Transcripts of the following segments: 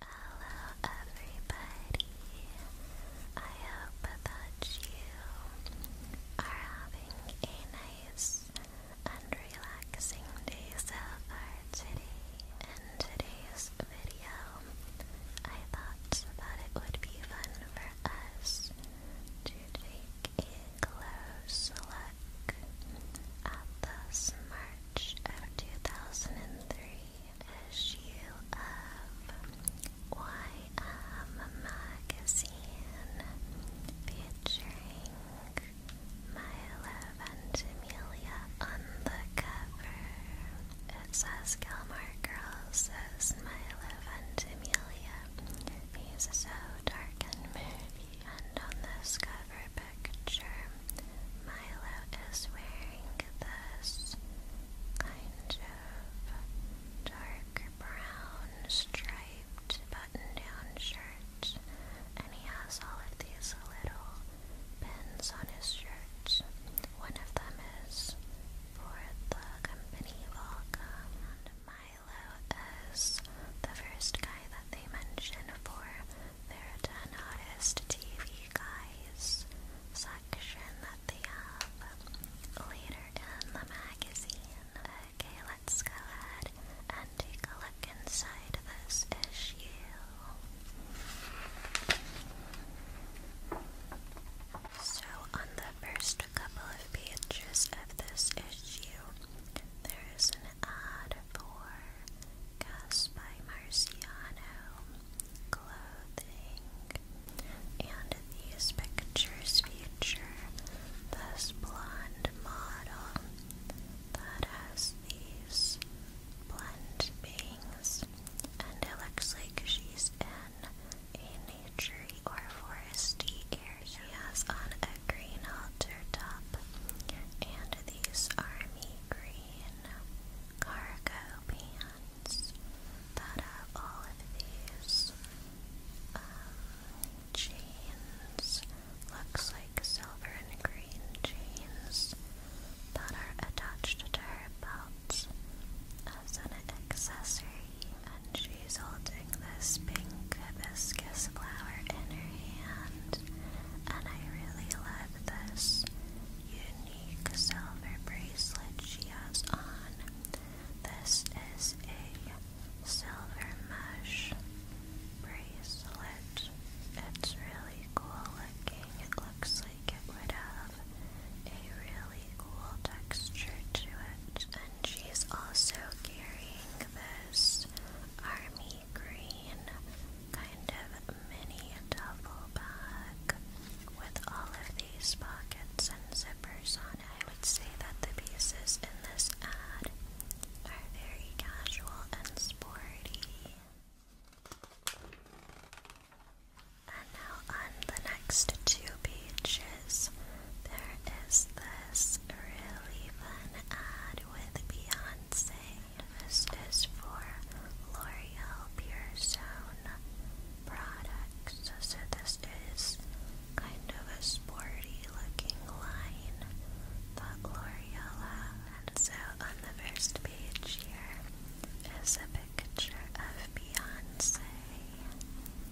Hello, everybody. I hope that you are having a nice and relaxing day so far today. In today's video, I thought that it would be fun for us to take a close look at the March of 2003 issue of Magazine featuring Milo Ventimiglia on the cover. It says Gilmore Girls says Milo Ventimiglia. He's so dark and moody. And on this cover picture, Milo is wearing this kind of dark brown striped button-down shirt, and he has all of these little pins on his shirt. One of them is for the company Volcom, and Milo is the first guy that they mention for their 10 hottest TV guys section that they have later in the magazine. Okay, let's go ahead and take a look inside this issue. So, on the first couple of pages of this issue, there is an ad for Cast by Marciano Clothing. And these pictures feature this blonde model that has these blonde bangs, and it looks like she's in a nature or foresty area. She has on a green halter top, and these army green cargo pants that have all of these um, Looks like silver and green chains that are attached to her belt as an accessory. And she's holding this pink hibiscus flower in her hand. And I really love this unique silver bracelet she has on. This is a silver mesh bracelet. It's really cool looking. It looks like it would have a really cool texture to it. And she's also carrying this army green kind of mini duffel bag with all of these pockets and zippers on I would say that the pieces in this ad are very casual and sporty. And now on the next two pages, there is this really fun ad with Beyonce this is for L'Oreal Pure Zone products. So this is kind of a sporty looking line The L'Oreal had. And so on the first page here is a picture of Beyonce.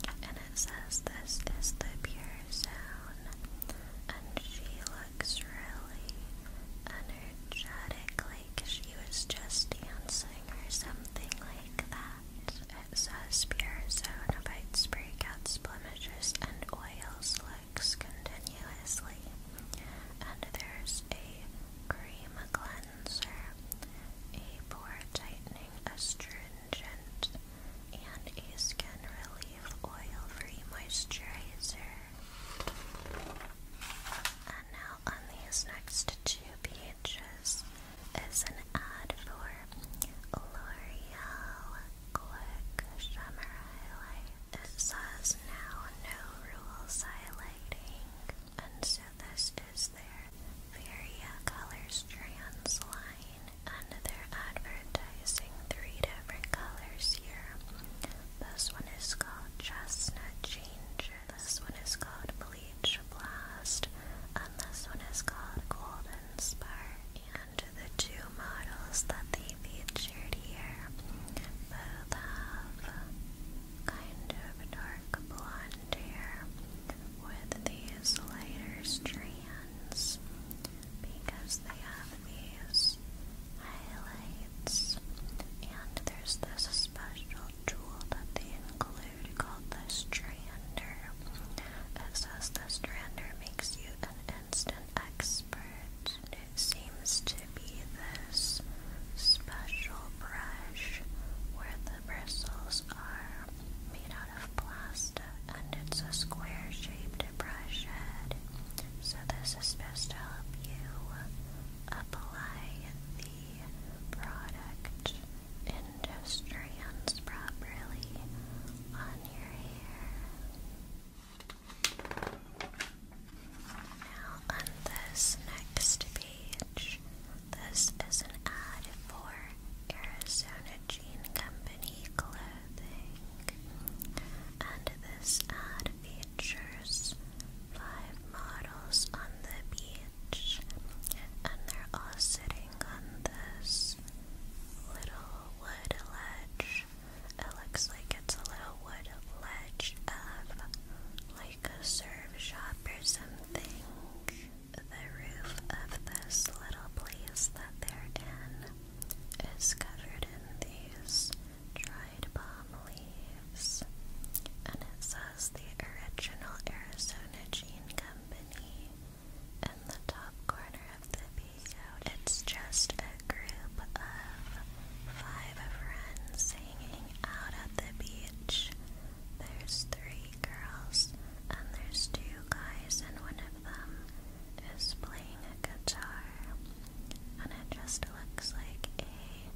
And it says this is the Pure Zone. And she looks really energetically like she was just dancing or something like that. It says pure zone abides breakouts, blemishes, and oil slicks continuously. And there's a cream cleanser, a pore tightening astringent, and a skin relief oil-free moisturizer. And now on these next two pages is an ad for L'Oreal Quick Highlight. It says now no rules highlighting, and so this is their Varia Colors Trans and they're advertising three different colors here. This one is called Chestnut Changes. This one is called Bleach Blast, and this one is called Golden Spark. And the two models that they featured here both have kind of dark blonde hair with these lighter strands because they have these highlights and there's this special tool that they include called the Strander. It says the Strander makes you an instant expert. it seems to be this special brush where the bristles are made out of plastic and it's a square shaped brush head. So this is supposed to help you apply the product industry properly on your hair. Now, on this next page, this is an ad for Arizona Jean Company clothing, and this ad features five models on the beach, and they're all sitting on this little wood ledge. It looks like it's a little wood ledge of like a serve shop or something. The roof of this little place that they're in is covered in these dried palm leaves, and it says the original Arizona Jean Company in the top corner of the video. It's just a group of five friends hanging out at the beach. There's three girls and there's two guys, and one of them is playing a guitar. And it just looks like a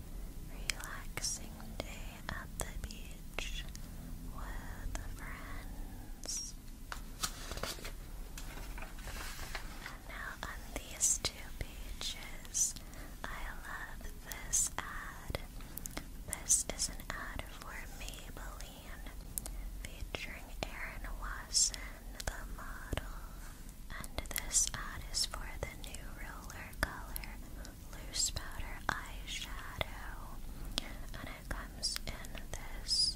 relaxing relaxing day at the beach with friends. And now on these two pages, I love this ad. This is an ad for Maybelline featuring Erin Watson, the model. And this ad is for the new roller color loose powder eyeshadow, and it comes in this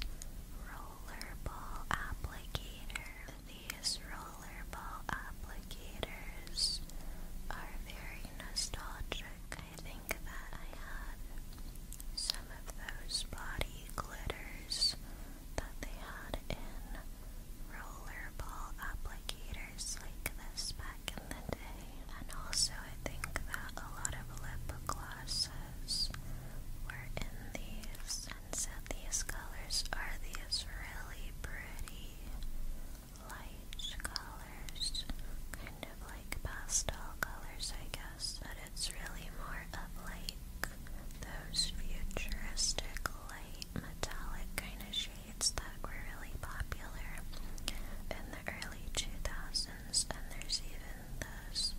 rollerball applicator. These rollerball applicators are very nostalgic. I think that I had some of those body glitters that they had in rollerball applicators like this back in the day. And also, I think that a lot of lip glosses were in these, and so these colors are these really pretty light colors, kind of like pastel colors, I guess, but it's really more of like those futuristic light light metallic kind of shades that were really popular in the early 2000s, and there's even those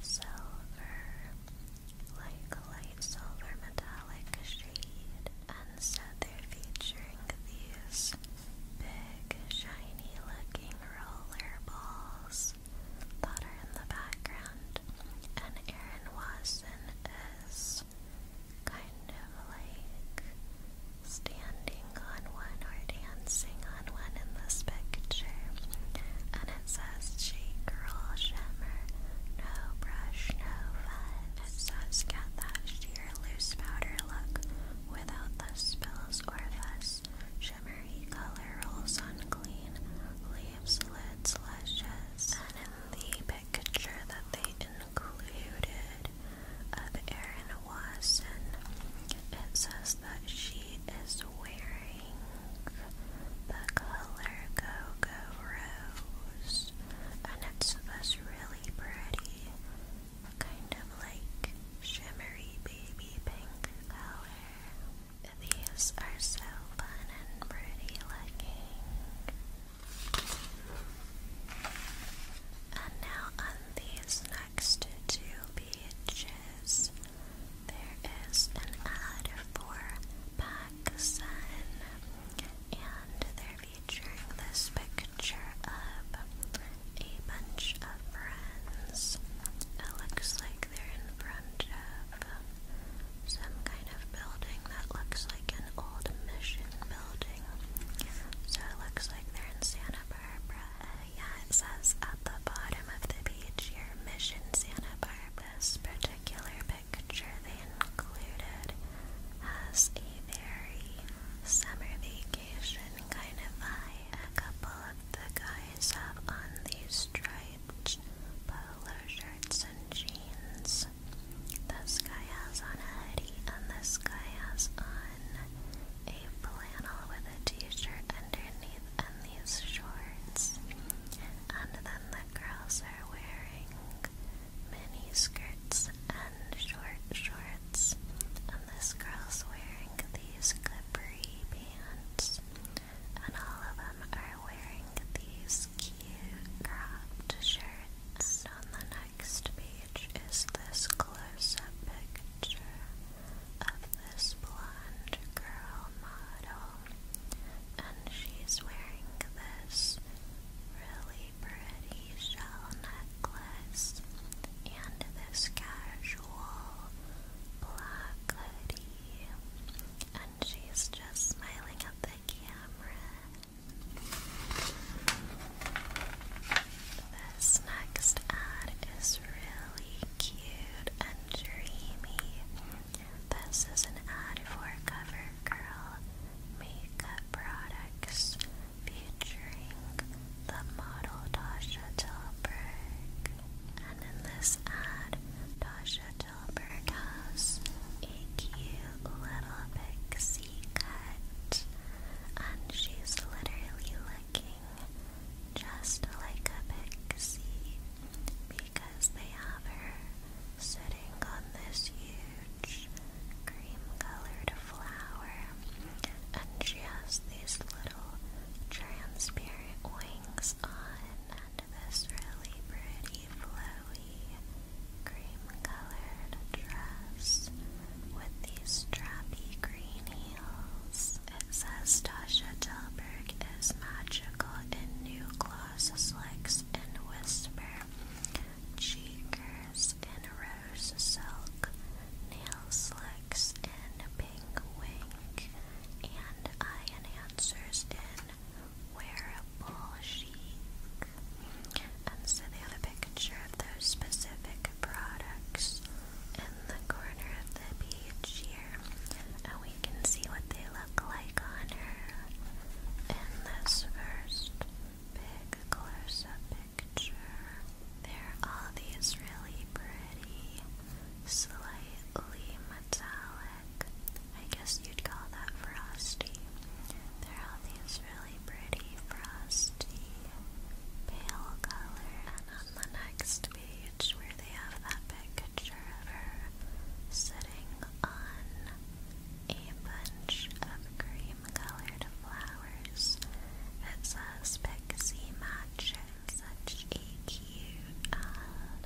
silver, like light silver metallic shade, and so they're featuring these big, shiny looking roller balls that are in the background. And Erin Watson is kind of like standing on one or dancing on one in this picture. And it says shake, girl, shimmer, no brush, no fun. It says that sheer loose powder look without the spills or fuss. Shimmery color rolls on clean leaves, lids, luscious. And in the picture that they included of uh, Erin Wasson. It says that she is wearing the color go Rose, and it's this really pretty, kind of like shimmery baby pink color. These are so fun and pretty looking. And now on these next two pages, there is an ad for PacSun, and they're featuring this picture of a bunch of friends. It looks like they're in front of some kind of building that looks like an old mission building. So it looks like they're in Santa Barbara. yeah, it says at the bottom of the page here, Mission Santa Barbara. This particular picture they included has a very summer vacation kind of vibe. A couple of the guys have on these striped polo shirts and jeans. This guy has on a hoodie, and this guy has on a flannel with a t-shirt underneath and these shorts. And then the girls are wearing mini skirts and short shorts. And this girl's wearing these glittery pants. And all of them are wearing these cute cropped shirts. on the next page, page is this close up picture of this blonde girl model, and she's wearing this really pretty shell necklace and this casual black hoodie, and she's just smiling at the camera. This next ad is really cute and dreamy. This is an ad for CoverGirl makeup products featuring the model Tasha Tilberg. And in this ad, Tasha Tilberg has a little pixie cat, and she's literally looking just like a pixie because they have her sitting on this huge cream colored flower, and she has these little transparent wings on, and this really pretty flowy cream-colored dress with these strappy green heels. It says Tasha Delberg is magical in new gloss slicks and whisper, cheekers in rose silk, nail slicks in pink wink, and eye answers in wearable sheets and so they have a picture of those specific products in the corner of the page here, and we can see what they look like on her in this first big close-up picture. There are all these really pretty, slightly metallic, I guess you'd call that frosty. There are all these really really pretty frosty pale color. And on the next page where they have that picture of her sitting on a bunch of cream-colored flowers, it says Pixie Magic. Such a cute ad.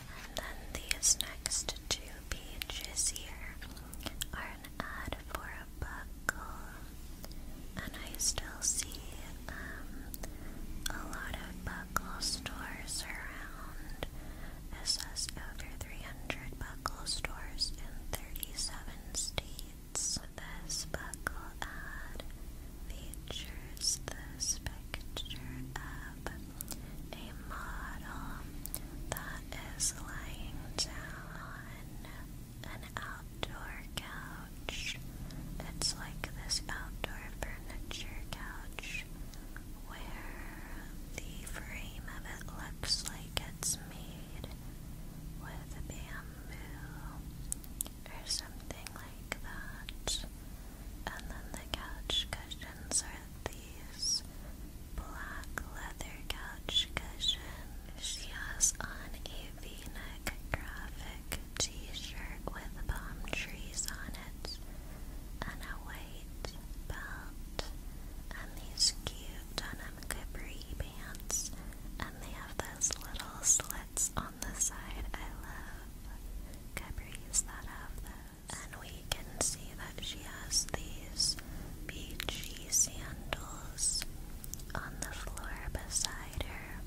And then these next two pages here are an ad for a buckle. And I still see um, a lot of buckle stores around. It says over 300 buckle stores in 37 states. This buckle ad features this picture of a model that is lying down on an outdoor couch. It's like this outdoor furniture couch where the frame of it looks like it's made with bamboo or something like that. And then the couch cushions are the black leather couch cushion. She has on a v-neck graphic t-shirt with palm trees on it and a white belt and these cute denim capri pants and they have those little slits on the side. I love capris that have those and we can see that she has these beachy sandals on the floor beside her.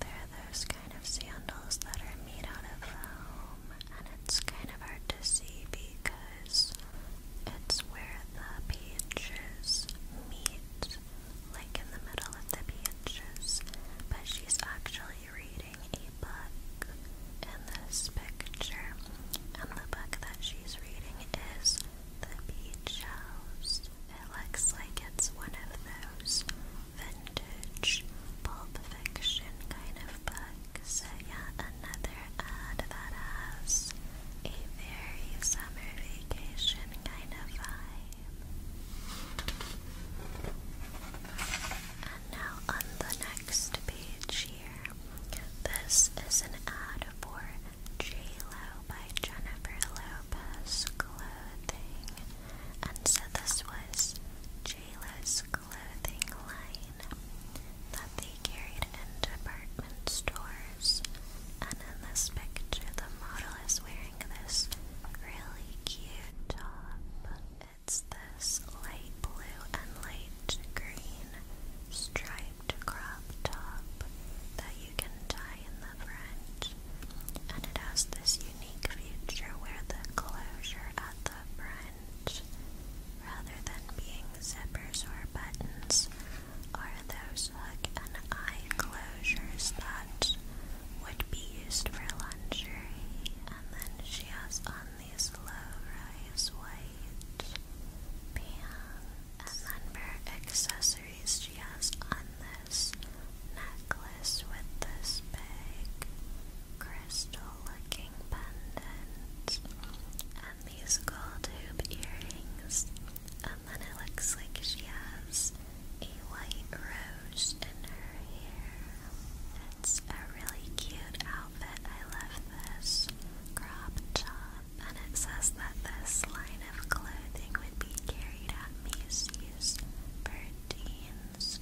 They're those kind of sandals that are made out of foam, and it's kind of hard to see because it's where the pages meet, like in the middle of the pages. But she's actually reading a book, in this picture. And the book that she's reading is The Beach House. It looks like it's one of those vintage pulp fiction kind of books. So, yeah, another ad that has a very summer vacation kind of vibe. And now on the next page this is an ad for J-Lo by Jennifer Lopez Clothing. And so this was J-Lo's clothing line that they carried in department stores. And in this picture, the model is wearing this really cute top. It's the sleeveless light blue and light green striped crop top that you can tie in the front. And it has this unique feature where the closure at the front, rather than being zippers or buttons, are those hook and eye closures that would be used for lingerie. And then she has on these low-rise white pants. And then her accessories she has on this necklace with this big crystal-looking pendant. And these gold hoop earrings. And then it looks like she has a white rose in her hair. It's a really cute outfit. I love this crop top, and it says that this line of clothing would be carried at Macy's, Burdines,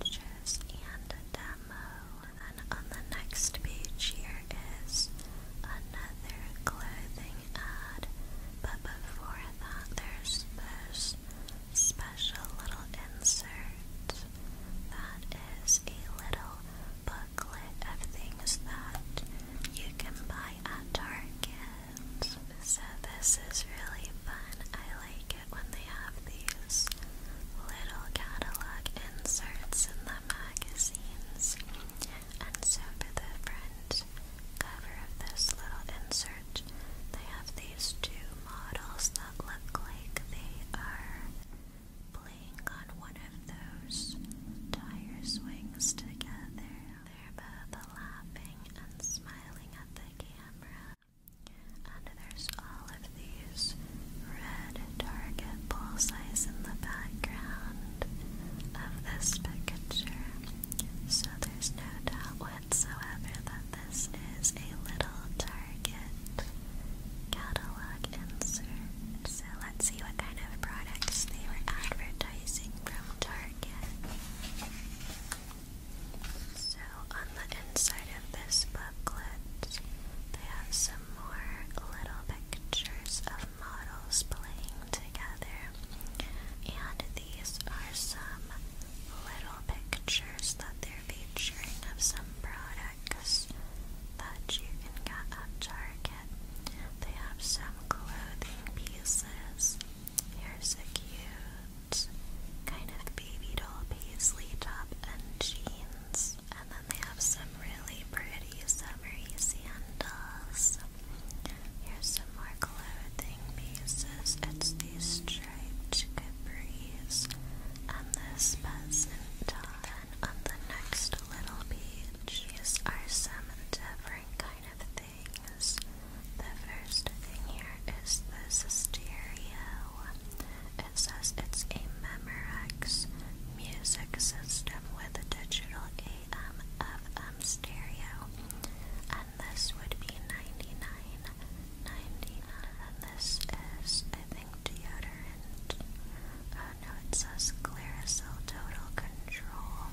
Riches, and Demo. And on the next page here is another clothing ad, but before that there's this special little insert that is a little booklet of things that you can buy at Target. So this is really fun. I like it when they have these little catalog inserts in the magazines. And so for the front cover of this little insert, they have these two models that look like they are playing on one of those tire swings together. They're both laughing and smiling at the camera. And there's all of these red target bullseyes in the background of this picture. So there's no doubt whatsoever that this is a little target. Target catalog insert. So let's see what kind of products they were advertising from Target. So on the inside of this booklet, they have some more little pictures of models playing together. And these are some little pictures that they're featuring of some products bags that you can get at Target. They have some clothing pieces. Here's a cute kind of baby doll paisley top and jeans. And then they have some really pretty summery sandals. Here's some more clothing pieces. It's these striped capris and this peasant top on the next little beach is are some different kind of things. The first thing here is this stereo. It says it's a Memorex music system with a digital AM FM um, stereo. And this would be 99 this is, moving deodorant. Oh uh, no, it says Clarasil Total Control.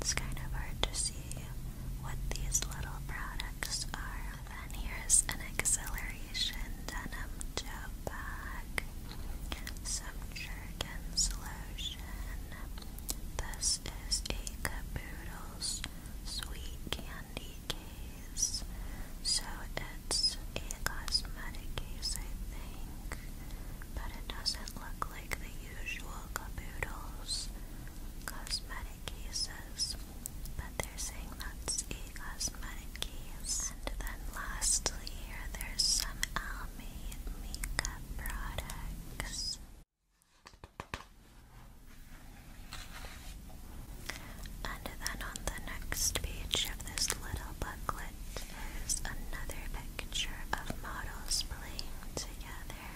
It's kind of hard to see what these little products are. Then here's an Acceleration Denim Tote Bag. Some Jergens Lotion. This is a Caboodles Sweet Candy Case. So it's a cosmetic case, I think, but it doesn't look like the usual Caboodles cosmetic cases, but they're saying that's a cosmetic case. And then lastly there's some Almay makeup products. And then on the next page of this little booklet there's another picture of models playing together.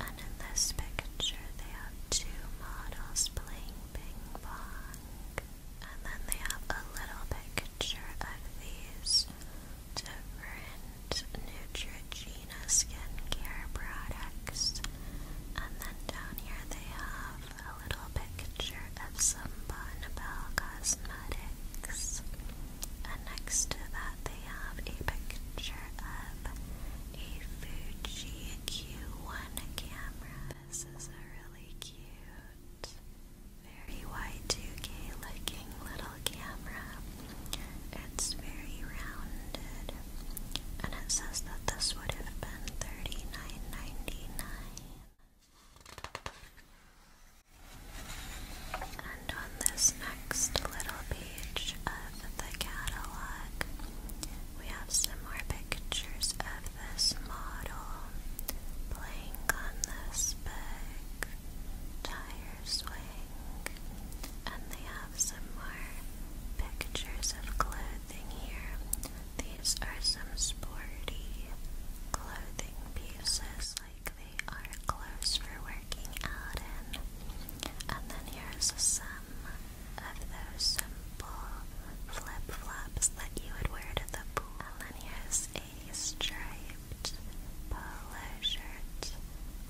And in this picture, they have two models playing ping pong. And then they have a little picture of these different Neutrogena skincare products. And then down here, they have a little picture of some Bon cosmetics. And next to that, they have a picture of a Fuji Q1 camera. This is a really cute, very y 2 looking little camera. It's very rounded, and it says that this would have been 39 and on this next little page of the catalog, we have some more pictures of this model playing on this big tire swing. And they have some more pictures of clothing here. These are some sporty clothing interesting pieces, like they are clothes for working out in. And then here's some of those simple flip flops that you would wear to the pool. And then here's a striped polo shirt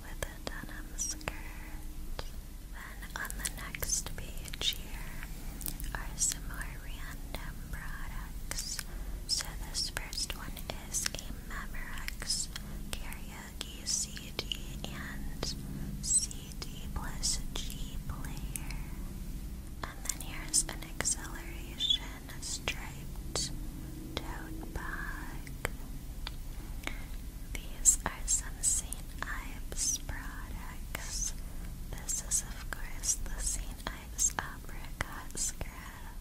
with a denim skirt. Then on the next page here are some more random products. So this first one is a Memorex karaoke CD and CD plus G player. And then here's an acceleration striped tote bag. These are some St. Ives products. This is, of course, the St times apricot skin,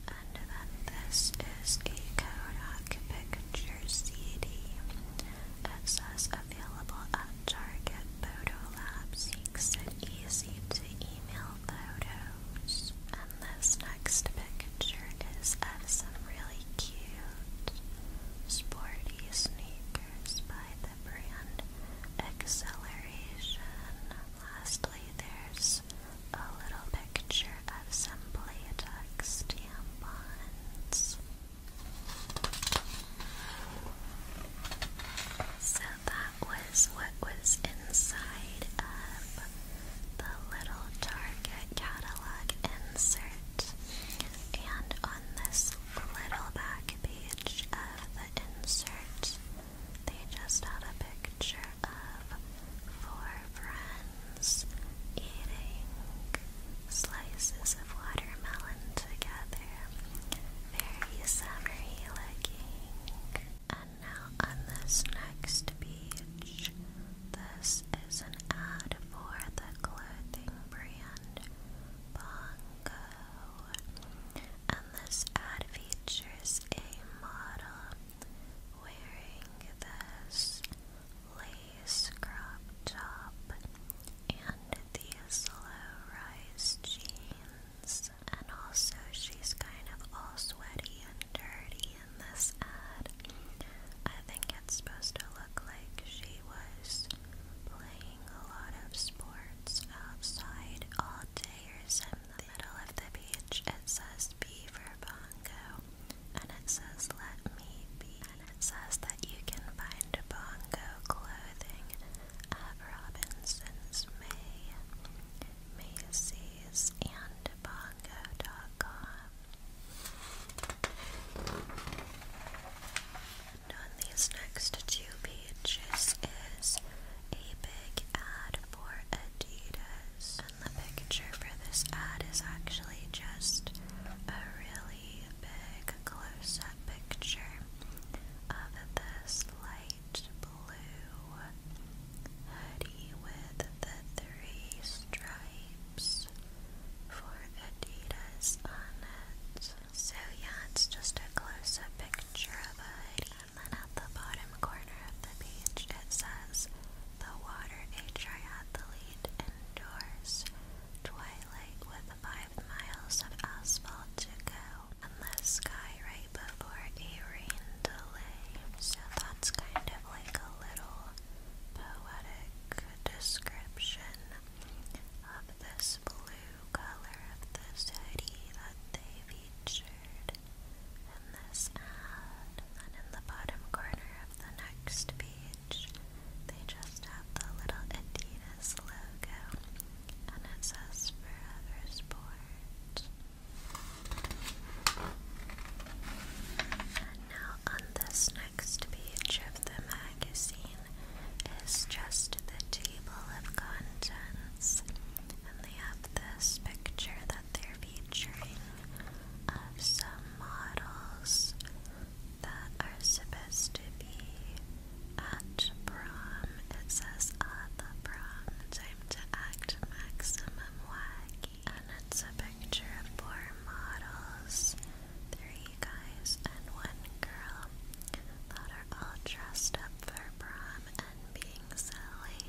and then this is a Kodak Picture CD. It available at Target Photo Labs. Makes it easy to email photos. And this next picture is of some really cute sporty sneakers by the brand Acceleration. Lastly, there's a little picture of some Playtex tampons. So that was what was inside of the little Target catalog insert. And on this little back page of the insert, they just had a picture of four friends eating slices of watermelon together. Very summery looking. And now on this next beach, this is an ad for the clothing brand Bongo and this ad features a model wearing this lace crop top and these low-rise jeans. And also she's kind of all sweaty and dirty in this ad. I think it's supposed to look like she was playing a lot of sports outside latte In the middle of the page, it says B for bongo, and it says let me be, and it says that you can find bongo clothing at Robinson's May, Macy's, and bongo.com. And on these next two pages is a big ad for Adidas. And the picture for this ad is actually just a really big close up picture of this light blue hoodie with the three stripes for Adidas on it. So, yeah, it's just a close up picture of a and then at the bottom corner of the page it says, The water a triathlete endures. Twilight with five miles of asphalt to go. And sky right before a rain delay. So that's kind of like a little poetic description of this blue color of this hoodie that they've featured in this And in the bottom corner of the next page, they just have the little Adidas logo and it says Forever Sport. And now on this next page of the magazine is just the table of contents. And they have this picture that they're featuring of some models that are supposed to be at prom. It says at ah, the prom, time to act maximum wacky. And it's a picture of four models, three guys and one girl, that are all dressed up for prom and being silly.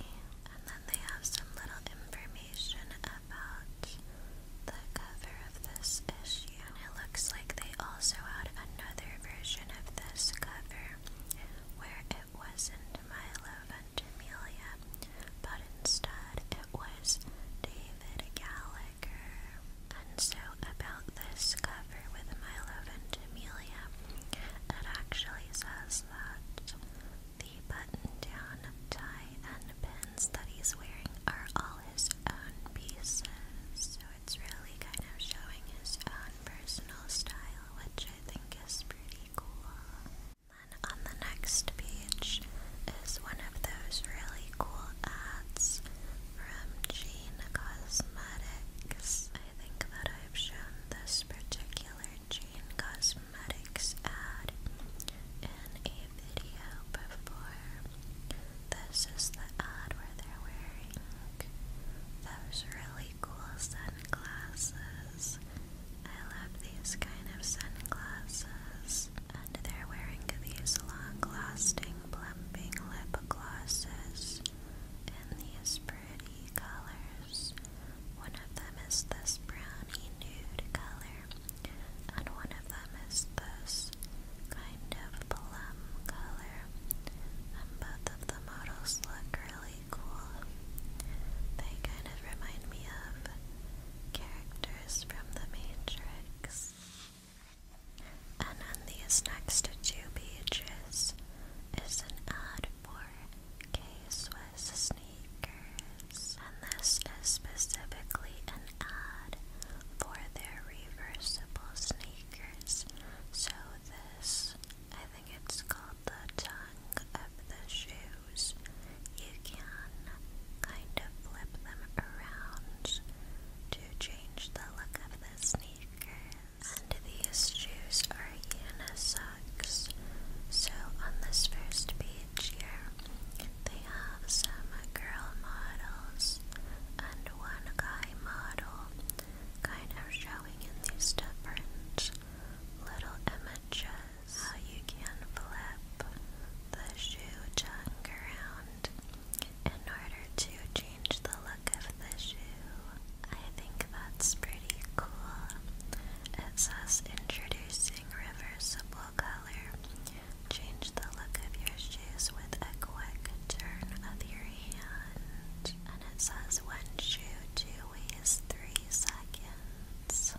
And then they have some little information about the cover of this issue. And it looks like they also had another version of this cover where it wasn't Milo Ventimiglia, but instead it was David Gallagher. And so, about this cover with Milo Ventimiglia, it actually says is that the button-down tie and pins that he's wearing are all his own pieces, so it's really kind of showing his own personal style, which I think is pretty cool. Then on the next page is one of those really cool ads from Gene Cosmetics. I I think that I've shown this particular Jane Cosmetics ad in a video before. This is the ad where they're wearing those really cool sunglasses. I love these kind of sunglasses. And they're wearing these long lasting plumping lip glosses in these pretty colors. One of them is this brownie nude color, and one of them is this kind of plum color. And both of the models look really cool. They kind of remind me of characters from The Matrix. And on these next two pages is an ad for K-Swiss sneakers, and this is specifically an ad for their reversible sneakers. So this, I think it's called the tongue of the shoes. You can kind of flip them around to change the look of the sneakers. And these shoes are unisex. So on this first page here, they have some girl models and one guy model kind of showing in these different little images how you can flip the shoe tongue around in order to change the look of the shoe. I think that's pretty cool. It says introducing reversible color. Change the look of your shoes with a quick turn of your hand. And it says one shoe, two ways, three seconds.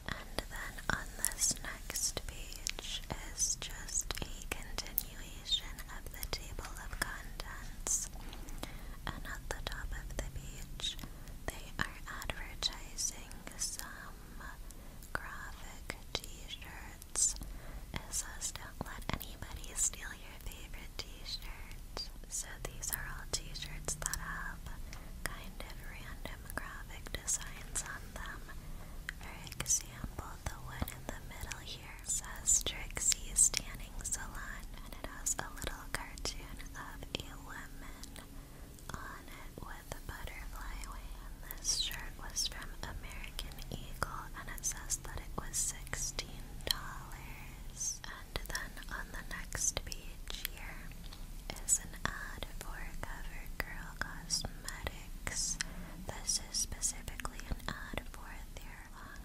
And then on this next page is just a continuation continuation of the table of contents, and at the top of the page, they are advertising some graphic t-shirts. It says, Don't let anybody steal your favorite t-shirt. So these are all t-shirts that have kind of random graphic designs on them. For example, the one in the middle says Trixie Tanning Salon, and it has a little cartoon of a woman on it with a butterfly wing. This shirt was from American Eagle, and it says that it was sixteen dollars. And then on the next page here is an ad for CoverGirl Cosmetics. This is specifically an ad for their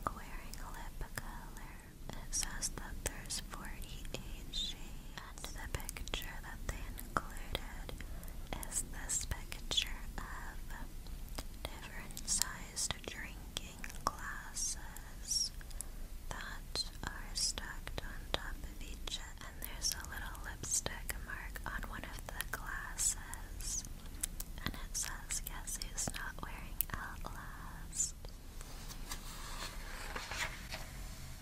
long wearing lip color. It says that there's 48 shades, and the picture that they included is this picture of different sized drinking glasses that are stacked on top of each other. And there's a little lipstick mark on one of the glasses. And it says, Guess who's not wearing Outlast?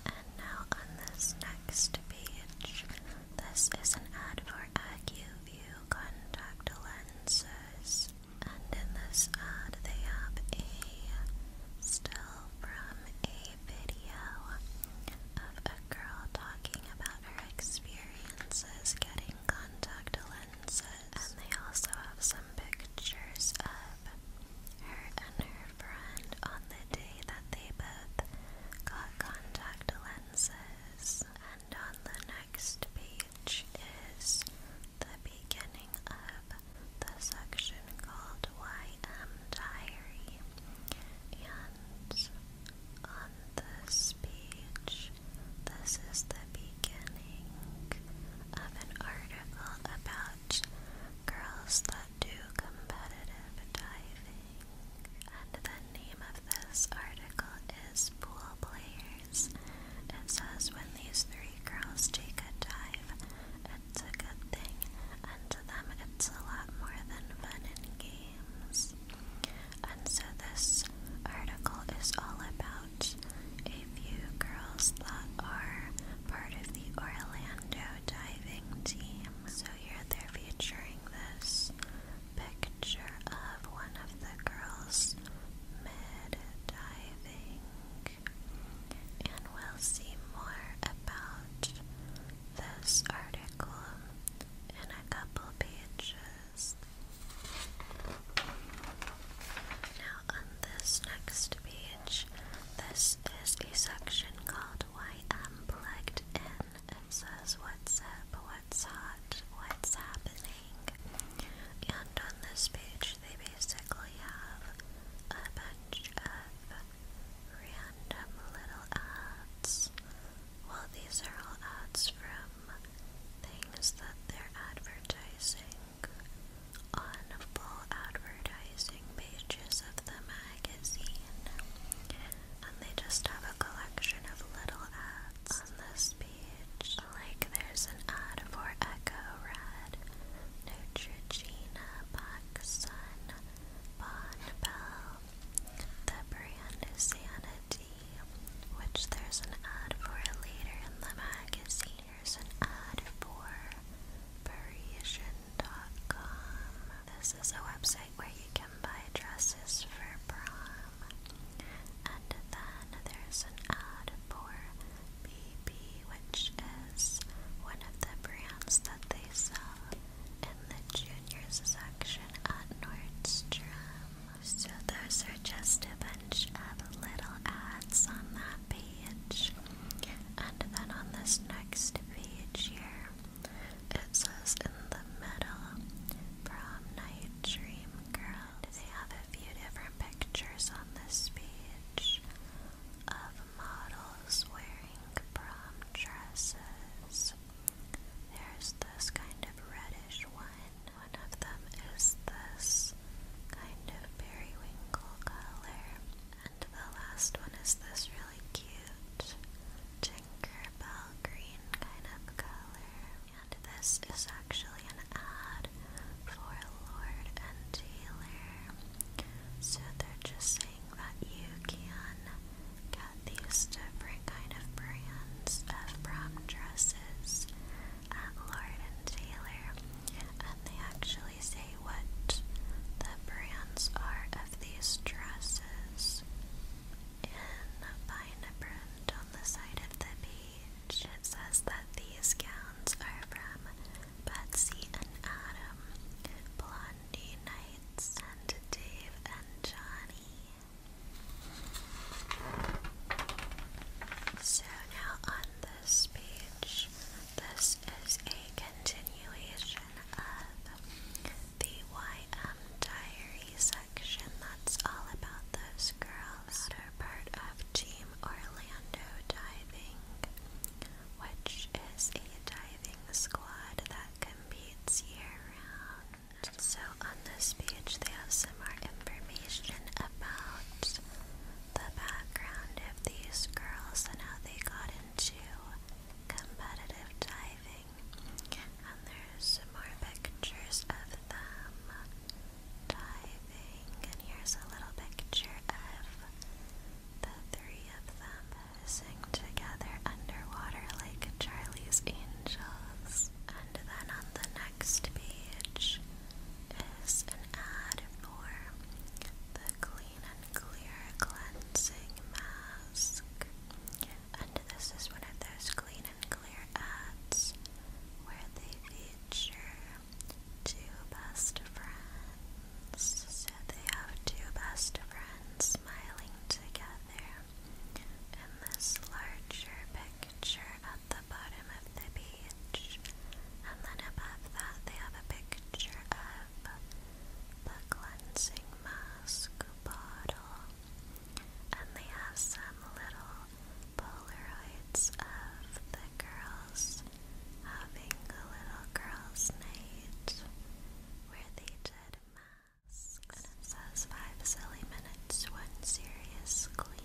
And now on this next page, this is an ad for AccuView contact lenses. And in this ad, they have a still from a video of a girl talking about her experiences getting contact lenses. And they also have some pictures of her and her friend on the day that they both got contact lenses. And on the next page is the beginning of the section called YM Diary. And this speech, this is the beginning of an article about girls that do competitive diving. And the name of this article is Pool Players. It says when these three girls take a dive, it's a good thing, and to them it's a lot more than fun and games. And so this article is all about a few girls that are part of the Orlando diving team. So here they're featuring this picture of one of the girls mid diving. And we'll see more about this article in a couple pages. Now, on this next page, this is a section called Why I'm Plugged In. It says what's up, what's hot, what's happening. And on this page, they basically have a bunch of random little ads. Well, these are all ads from things that they're advertising on full advertising pages of the magazine. And they just have a collection of little ads on this page. Like there's an ad for Echo Red, Neutrogena, Sun, Bon Bell, the brand Sanity magazine, which there's an ad for it later in the magazine. Here's an ad for Parisian.com. This is a website where you can buy dresses for prom. And then there's an ad for BB, which is one of the brands that they sell in the juniors section at Nordstrom. So those are just a bunch of little ads on that page. And then on this next page here, it says in the middle, prom night dream girl. They have a few different pictures on this page of models wearing prom dresses. There's this kind of reddish one one of them is this kind of periwinkle color, and the last one is this really cute Tinkerbell green kind of color. And this is actually an ad for Lord and Taylor. So they're just saying that you can get these different kind of brands of prom dresses uh, Lauren and Taylor, and they actually say what the brands are of these dresses in fine print on the side of the page. It says that these gowns are from Betsy and Adam, Blondie Knights, and Dave and Johnny. So now on this page, this is a continuation of the YM Diary section. That's all about those girls that are part of Team Orlando Diving, which is a diving squad that competes year round. So in this speech, they have some more information about the background of these girls and how they got into competitive diving. And there's some more pictures of them diving. And here's a little picture of the three of them posing together underwater like Charlie's Angels. And then on the next page is an ad for the Clean and Clear Cleansing Mask. And this is one of those Clean and Clear ads where they feature two best friends. So they have two best friends smiling together in this larger picture at the bottom of the page page. And then above that, they have a picture of the cleansing mask bottle. And they have some little Polaroids of the girls having a little girls' night where they did masks. And it says five silly minutes, one serious clean.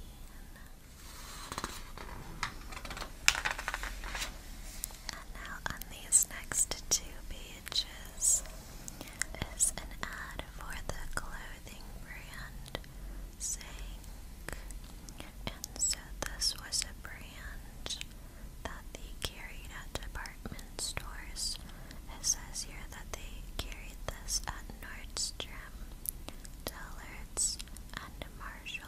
And now on these next two pages is an ad for the clothing brand Zank. And so this was a brand that they carried at department stores. It says here that they carried this at Nordstrom. Dillard's, and Marshall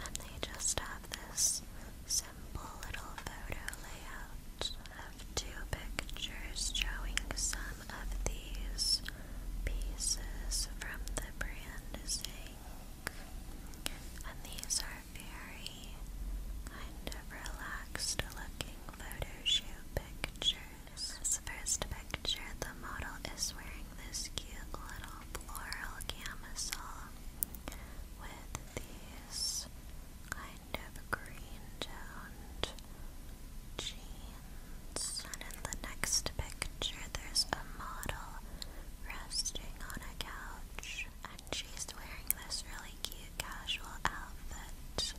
and they just have this simple little photo layout of two pictures showing some of these pieces from the brand Zinc. And these are very kind of relaxed looking photo shoot pictures in this first picture, the model is wearing this cute little floral camisole with these kind of green toned jeans. And in the next picture, there's a model resting on a couch, and she's wearing this really cute casual outfit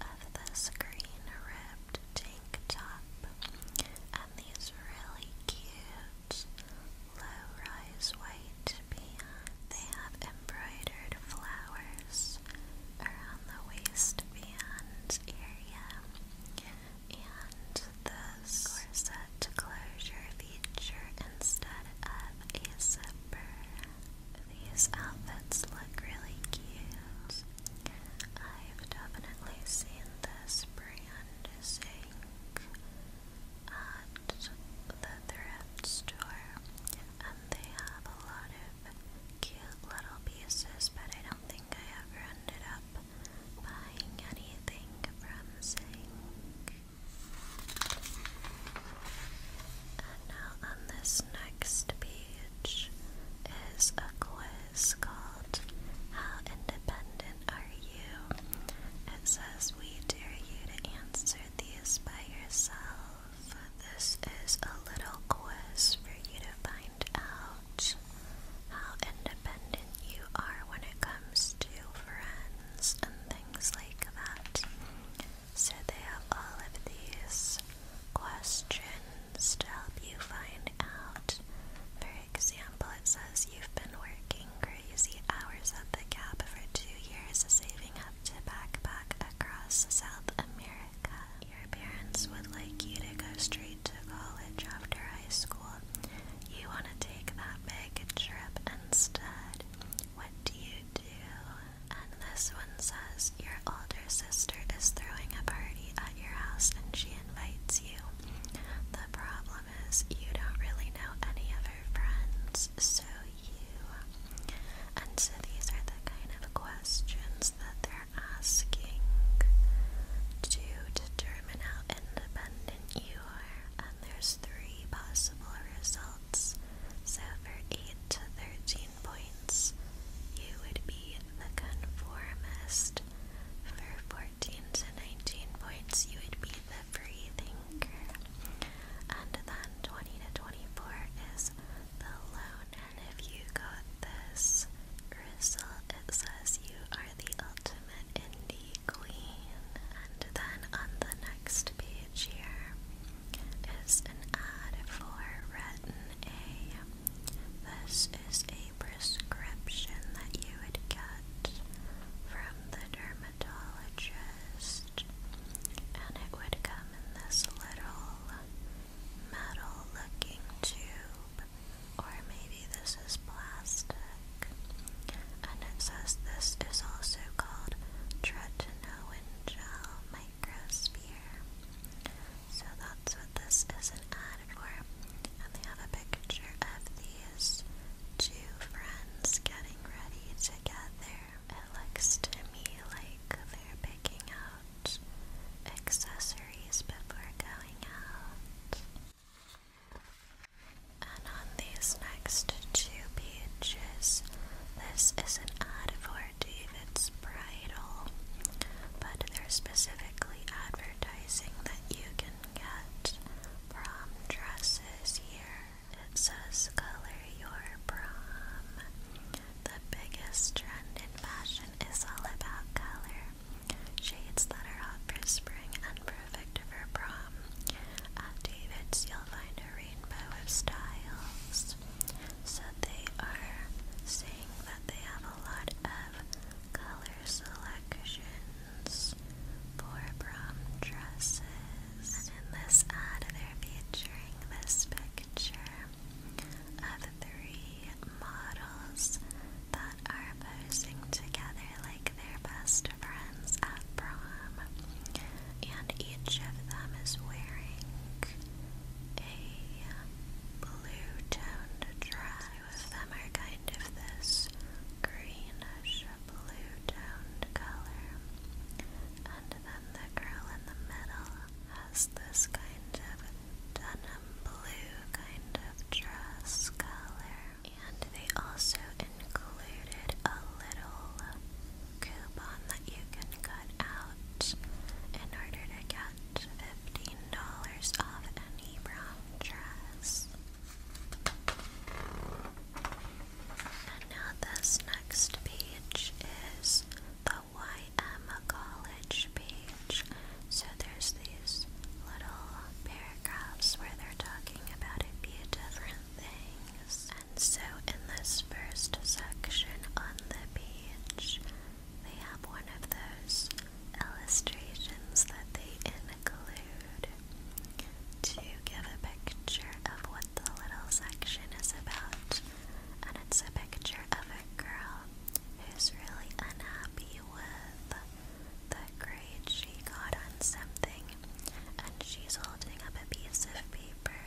of this green ribbed tank top and these really cute low-rise white pants. They have embroidered flowers around the waistband area and this corset closure feature instead of a zipper. These outfits look really cute I've definitely seen this brand zinc at the thrift store, and they have a lot of cute little pieces, but I don't think I ever ended up buying anything from zinc. And now on this next piece is a quiz called How Independent Are You? It says we dare you to answer these by yourself. This is a little quiz for you to find out how independent you are when it comes to friends and things like that. So they have all of these questions questions to help you find out. For example, it says you've been working crazy hours at the Gap for two years, saving up to backpack across South America. Your parents would like you to go straight to college after high school. You want to take that big trip instead. What do you do? And this one says your older sister is throwing a party at your house and she invites you. The problem is, you don't really know any of her friends, so you. And so these are the kind of questions that they're asking to determine how independent you are. And there's three possible results. So for 8 to 13 points, you would be the conformist, for 14 to 19 points, you would be the free thinker. And then 20 to 24 is the lone. And if you got this result, it says you are the ultimate indie queen. And then on the next page here is an ad for Retin A. This is a prescription that you would get from the dermatologist, and it would come in this little metal looking tube, or maybe this is plastic. And it says this is also called tretinoin gel microsphere. So that's what this is an ad for. And they have a picture of these two friends getting ready together. It looks to me like they're picking out accessories before going out. And on these next two pages, this is an ad for David's varietal, but they're specifically advertising that you can get prom dresses here. It says, Color Your Prom. The biggest trend in fashion is all about color. Shades that are hot for spring and perfect for prom. At David's, you'll find a rainbow of styles. So they are saying that they have a lot of color selections for prom dresses. And in this they're featuring this picture of three models that are posing together like their best friends at prom. And each of them is wearing a blue toned dress of them are kind of this greenish blue toned color. And then the girl in the middle has this kind of denim blue kind of dress color. And they also included a little coupon that you can cut out in order to get 50 and now, this next page is the YM College page. So, there's these little paragraphs where they're talking about a few different things. And so, in this first section on the page, they have one of those illustrations that they include to give a picture of what the little section is about. And it's a picture of a girl who's really unhappy with the grade she got on something, and she's holding up a piece of paper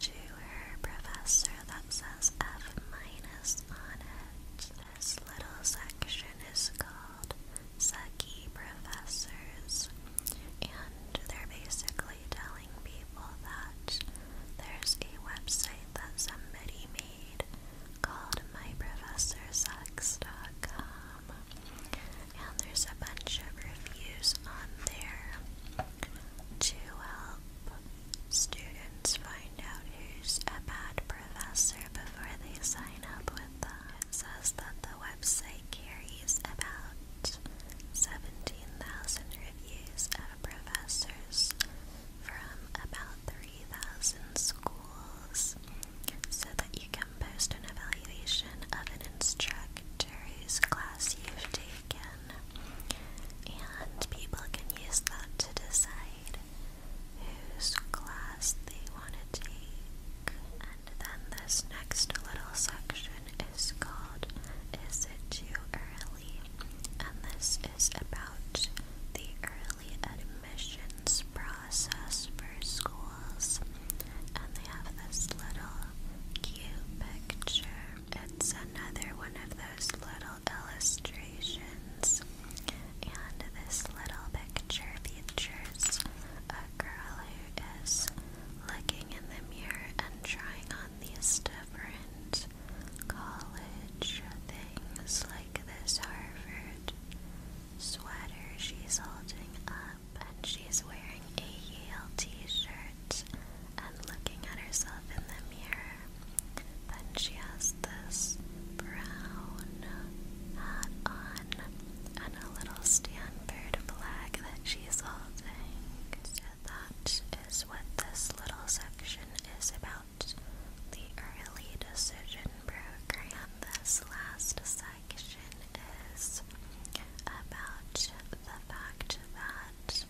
to her professor that says F minus on it. This little section is called Seki Professors, and they're basically telling people that there's a website that somebody made called myprofessorsucks.com, and there's a bunch of reviews on there to help students students find out who's a bad professor before they sign up with them. It says that the website carries about 17,000 reviews of professors from about 3,000 schools so that you can post an evaluation of an instructor whose class you've taken. And people can use that to decide whose class they want to take. And then this next little section is called Is It Too Early? And this is about the early admissions process for schools. And they have this little cute picture. It's another one of those little illustrations friends. And this little picture features a girl who is looking in the mirror and trying on these different college things, like this Harvard sweater she's holding up, and she's wearing a Yale t shirt and looking at herself in the mirror. Then she has this brown hat on and a little Stanford flag that she's holding. that is what this little section is about. The early decision program. This last section is about the fact that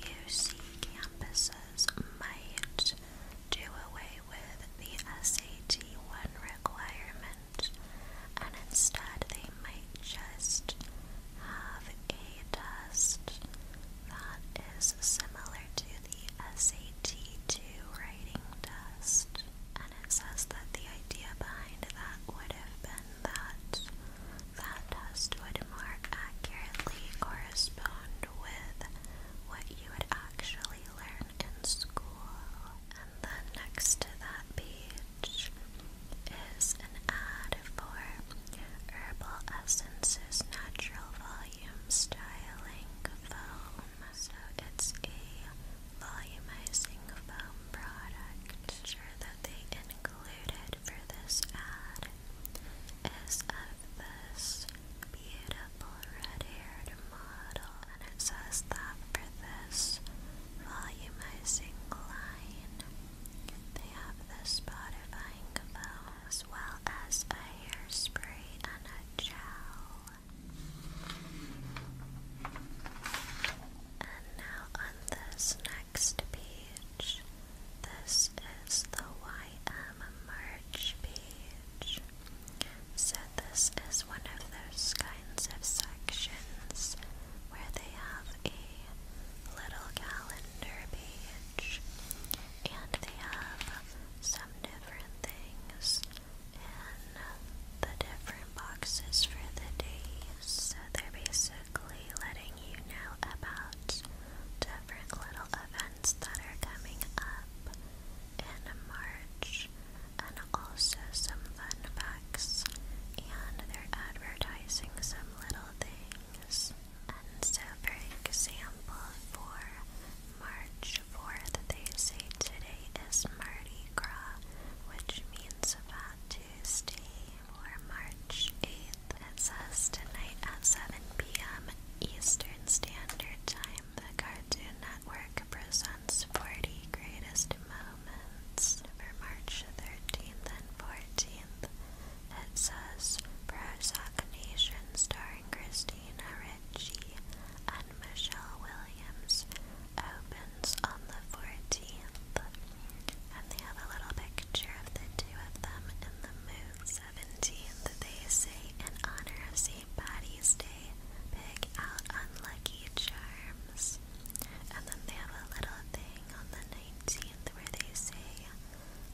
you see campuses examiners might do away with the SAT 1 requirement and instead they might just have a test that is similar to the SAT 2 writing test. And it says that the idea behind that would have been that that test would more accurately correspond with what you would actually really learn in school. And then next to that page is an ad for Herbal Essences Natural Volume Styling Foam. So it's a volumizing foam product. sure that they included for this ad is of this this beautiful red haired model, and it says that for this volumizing line, they have this modifying foam as well as a hairspray and a gel. And now on this next page, this is the YM merch page. So, this is one of those kinds of sections where they have a little calendar page and they have some different things in the different boxes for the days. So, they're basically letting you know about different little events that are coming up in March, and also some fun facts. And they're advertising some little things. And so, for example, for March 4th, they say today is Mardi Gras, which means Fat Tuesday, or March 8th. It says tonight at 7 p.m. Eastern Standard Time, the Cartoon Network presents 40 greatest moments for March 13th and 14th. It says Prozac Nation starring Christina Ricci and Michelle Williams opens on the 14th. And they have a little picture of the two of them in the mood. 17th, they say, in honor of Patty's Day, pick out unlucky charms. And then they have a little thing on the 19th where they say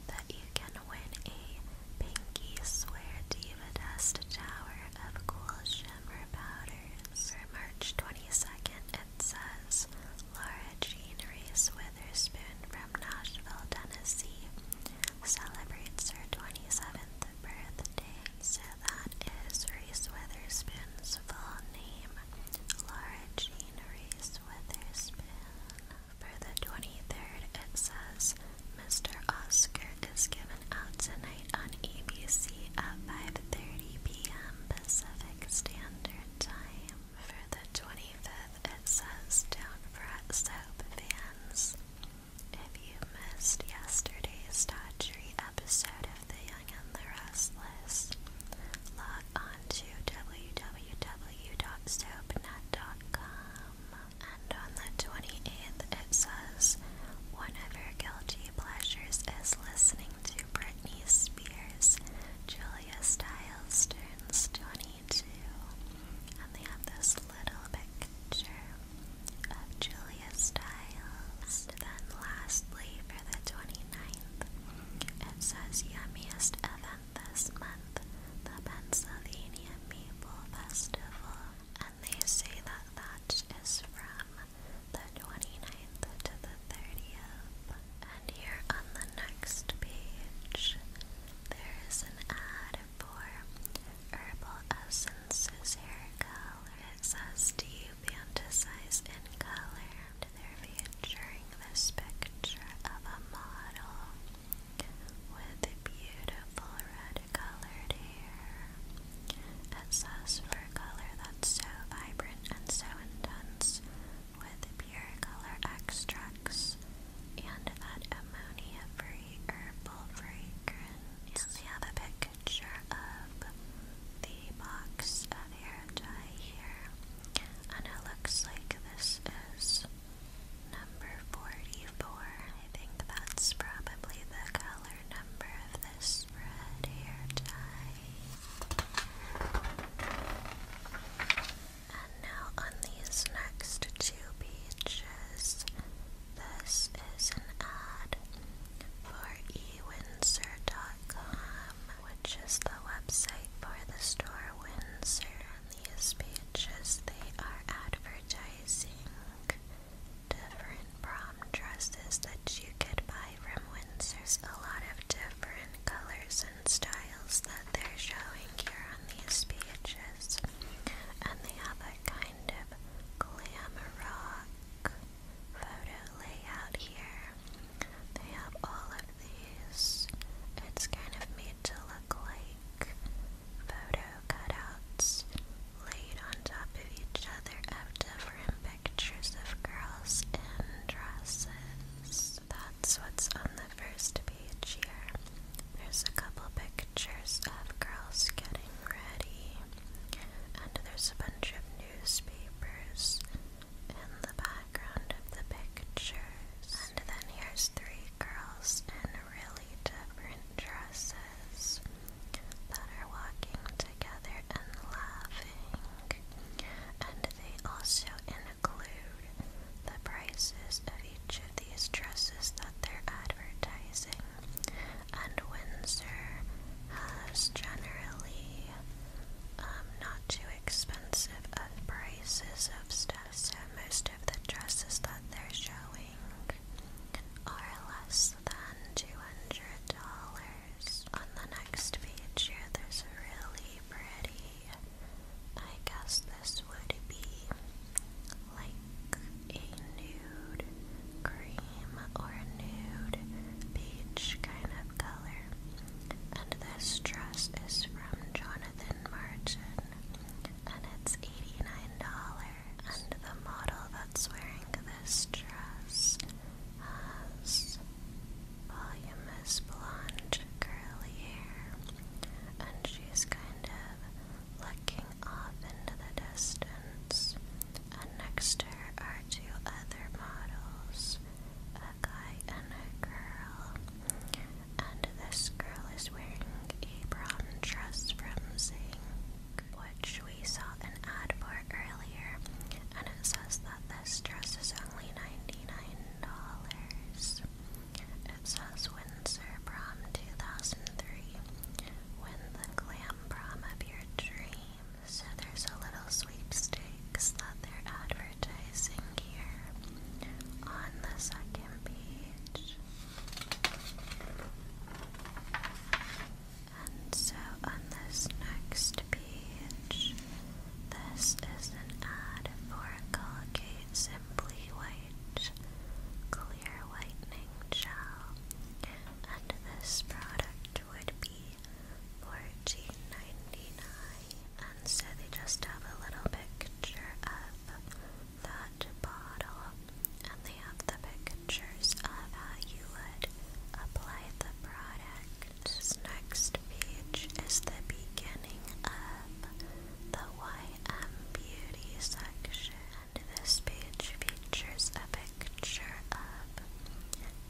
that you can win a pinky swear diva dust tower of cool shimmer powders. For March 22nd, it says Laura Jean Witherspoon from Nashville, Tennessee celebrates her 27th remember the day, so that is Reese Witherspoon's full name, Laura Jean Reese Witherspoon. For the 23rd, it says, Mr. Oscar is given out tonight on ABC at 5.30 p.m. Pacific Standard Time. For the 25th, it says, Don't fret soap fans. If you missed yesterday's Dodgery episode of The Young and the Restless, log on to www.soapnet.com. And on the 28th, it says one guilty pleasures is listening to Britney Spears. Julia Stiles turns 22. And they have this little picture of Julia Stiles. Then lastly, for the 29th, it says yummiest event this month, the Pennsylvania Maple Festival. And they say that that is from the 29th to the 30th. And here on the next page, there is an ad for herbal essences hair color. It says, do you in color? And they're featuring this picture of a model with beautiful red colored hair. It says for color that's so vibrant and so intense with pure color extracts and that ammonia-free very fragrance. And have a picture of the box of hair dye here. And it looks like this is number 44. I think that's probably the color number of this red hair dye. And now on these next two pages, this is an ad for eWindsor.com, which is the website for the store Windsor. On these pages, they are advertising different prom dresses that you could buy from Windsor's. A lot of different colors and styles that they're showing here on these pages, and they have that kind of glam rock photo layout here. They have all of these. It's kind of made to look like photo cutouts laid on top of each other different pictures of girls in dresses. That's what's on the first page here. There's a couple pictures of girls getting ready and there's a bunch of newspapers in the background of the pictures. And then here's three girls in really different dresses that are walking together and laughing. And they also include the prices of each of these dresses that they're advertising and Windsor has generally um, not too expensive of prices of stuff, so most of the dresses that they're showing are less than two hundred dollars. On the next page here, there's a really pretty. I guess this would be like a nude cream or a nude peach kind of color. And this dress is from Jonathan Martin and it's $89. And the model that's wearing this dress has voluminous blonde curly hair and she's kind of looking off into the distance, and next to her are two other models, a guy and a girl. And this girl is wearing a brown dress from Zing, which we saw an ad for earlier, and it says that this dress is only $99. It says Windsor Prom 2003. Win the glam come of your dream. So there's a little sweepstakes that they're advertising here on the second page. And so on this next page, this is an ad for Colgate Simply White Clear Whitening Gel and this product would be 14 and so they just have a little picture of that bottle and they have the pictures of how you would apply the product. next page is the beginning of the YM Beauty section this page features a picture of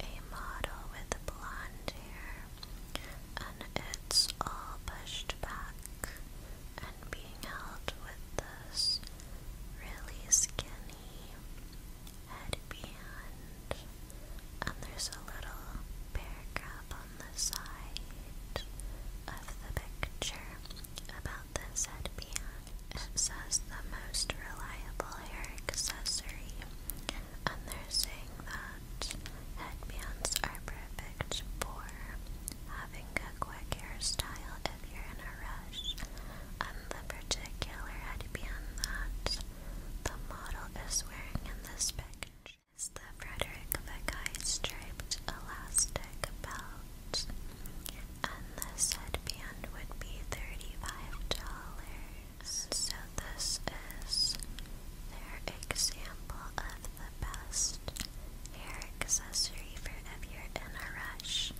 a model with blonde hair, and it's all pushed back and being held with this really skinny headband. And there's a little paragraph on the side of the picture about this headband. It says the most reliable hair accessory, and they're saying that headbands are perfect for having a quick hairstyle if you're in a rush. And the particular headband that the model is wearing in this picture is the Frederick the Guy striped elastic belt and this headband would be $35. So this is their example of the best hair accessory for if you're in a rush.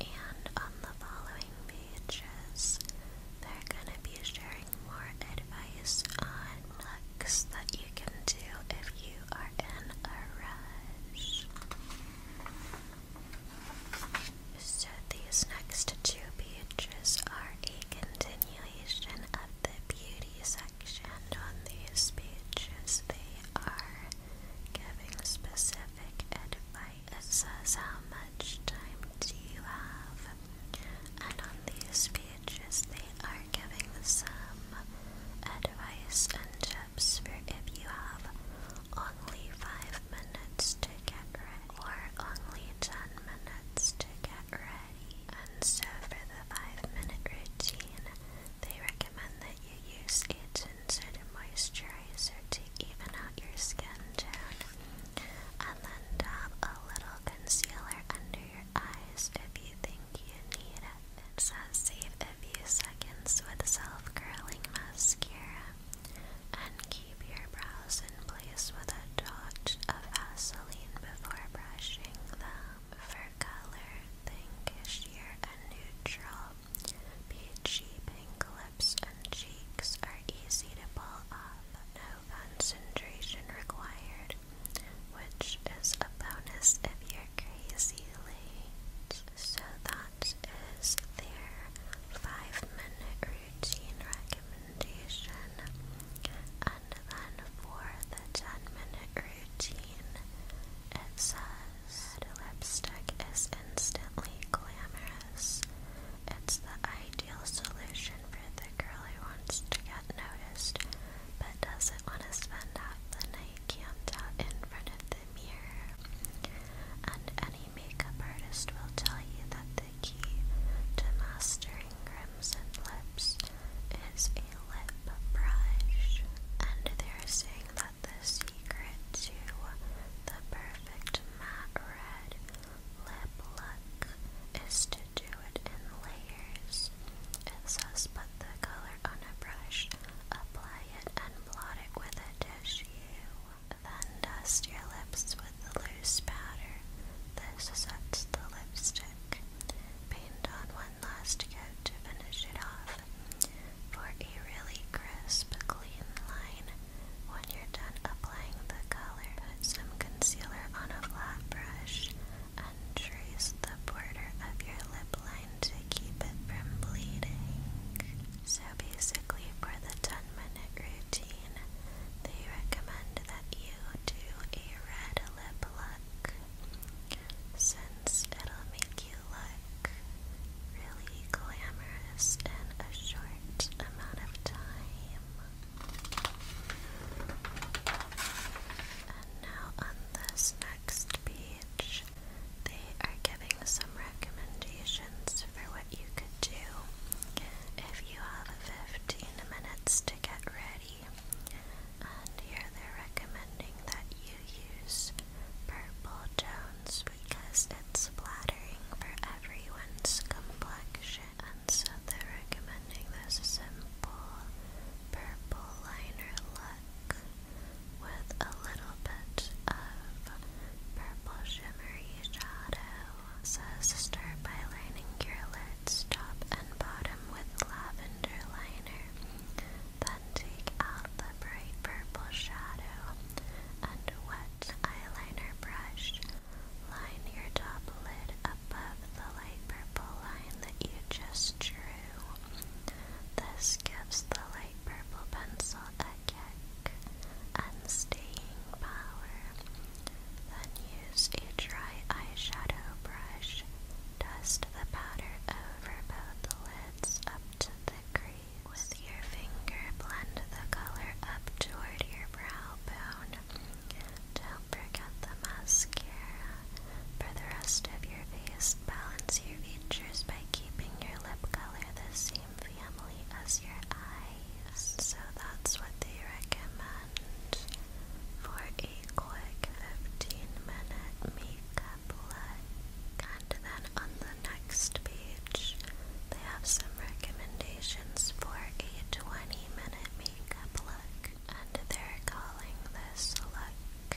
And on the following pages, they're gonna be sharing more advice on looks that you can do if you are in a rush. So these next two pages are a continuation of the beauty section on these pages. They are giving specific advice. It says how much time do you have? And on these pages they are giving some advice and tips for if you have only 5 minutes to get ready, or only 10 minutes to get ready. And so for the 5 minute routine, they recommend that you use a tinted moisturizer to even out your skin tone, and then dab a little concealer under your eyes if you think you need it. It says save a few seconds with self curling mascara and keep your brows in place with a dot of Vaseline before brushing them. For color, pinkish sheer and neutral, peachy pink lips and cheeks are easy to pull off. No concentration required, which is a bonus if you're crazy late. So that that is their five minute routine recommendation. And then for the 10 minute routine, it says lipstick is instantly glamorous. It's the ideal solution for the girl who wants to get noticed but doesn't want to spend half the night camped out in front of the mirror. And any makeup artist will tell you that the key to mastering crimson lips is a lip brush. And they're saying that the secret to the perfect matte red lip look is to do it in layers. It says put the color on a brush, apply it, and blot it with a tissue. Then dust your lips with the loose powder that sets the lipstick. Paint on one last coat to finish it off. For a really crisp, clean line, when you're done applying the color, put some concealer on a flat brush and trace the border of your lip line to keep it from bleeding. So basically, for the 10 minute routine, they recommend that you do a red lip look since it'll make you look really glamorous in a short amount of time. And now, on this next page, they are giving some recommendations for what you could do if you have 15 minutes to get ready. And here they're recommending that you use purple tones because it's flattering for everyone's complexion. And so they're recommending this simple purple liner look with a little bit of purple shimmery shadow. Says start by lining your lids top and bottom with lavender liner. Then take out the bright purple shadow and wet eyeliner brush. Line your top lid above the light purple line that you just drew. This gives the light purple pencil a psychic, unstaying power. Then use a dry eyeshadow brush. Dust the powder over both lids up to the crease. With your finger, blend the color up toward your brow bone. Don't forget the mascara. For the rest of your face, balance your features by keeping your lip color the same family as your eyes, so that's what they recommend for a quick 15 minute makeup look. And then on the next page, they have some recommendations for a 20 minute makeup look, and they're calling this look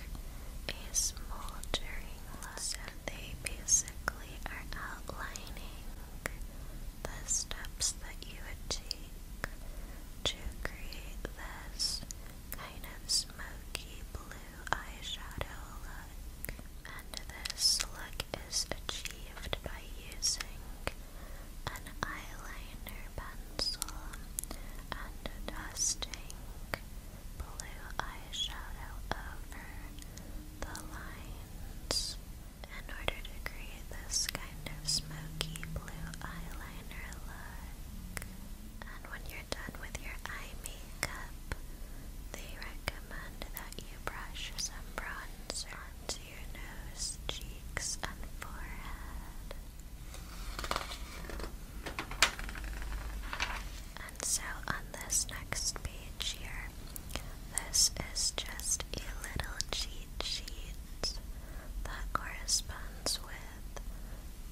a smoldering look they basically are outlining the steps that you would take to create this kind of smoky blue eyeshadow look. And this look is achieved by using an eyeliner pencil and dusting blue eyeshadow over the lines in order to create this kind of smoky blue eyeliner look. And when you're done with your eye makeup, they recommend that you brush some bronzer onto your nose, cheeks, and forehead. And so on this next page here, this is just a little cheat sheet that corresponds with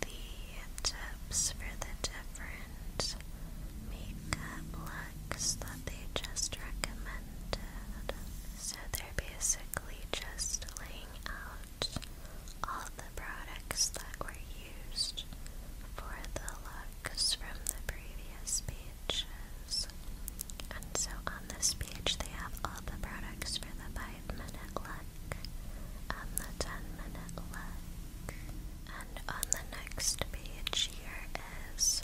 the tips for the different makeup looks that they just recommended. So they're basically just laying out all the products that were used for the looks from the previous page pages. And so on this page, they have all the products for the 5 minute look and the 10 minute look. And on the next page, here is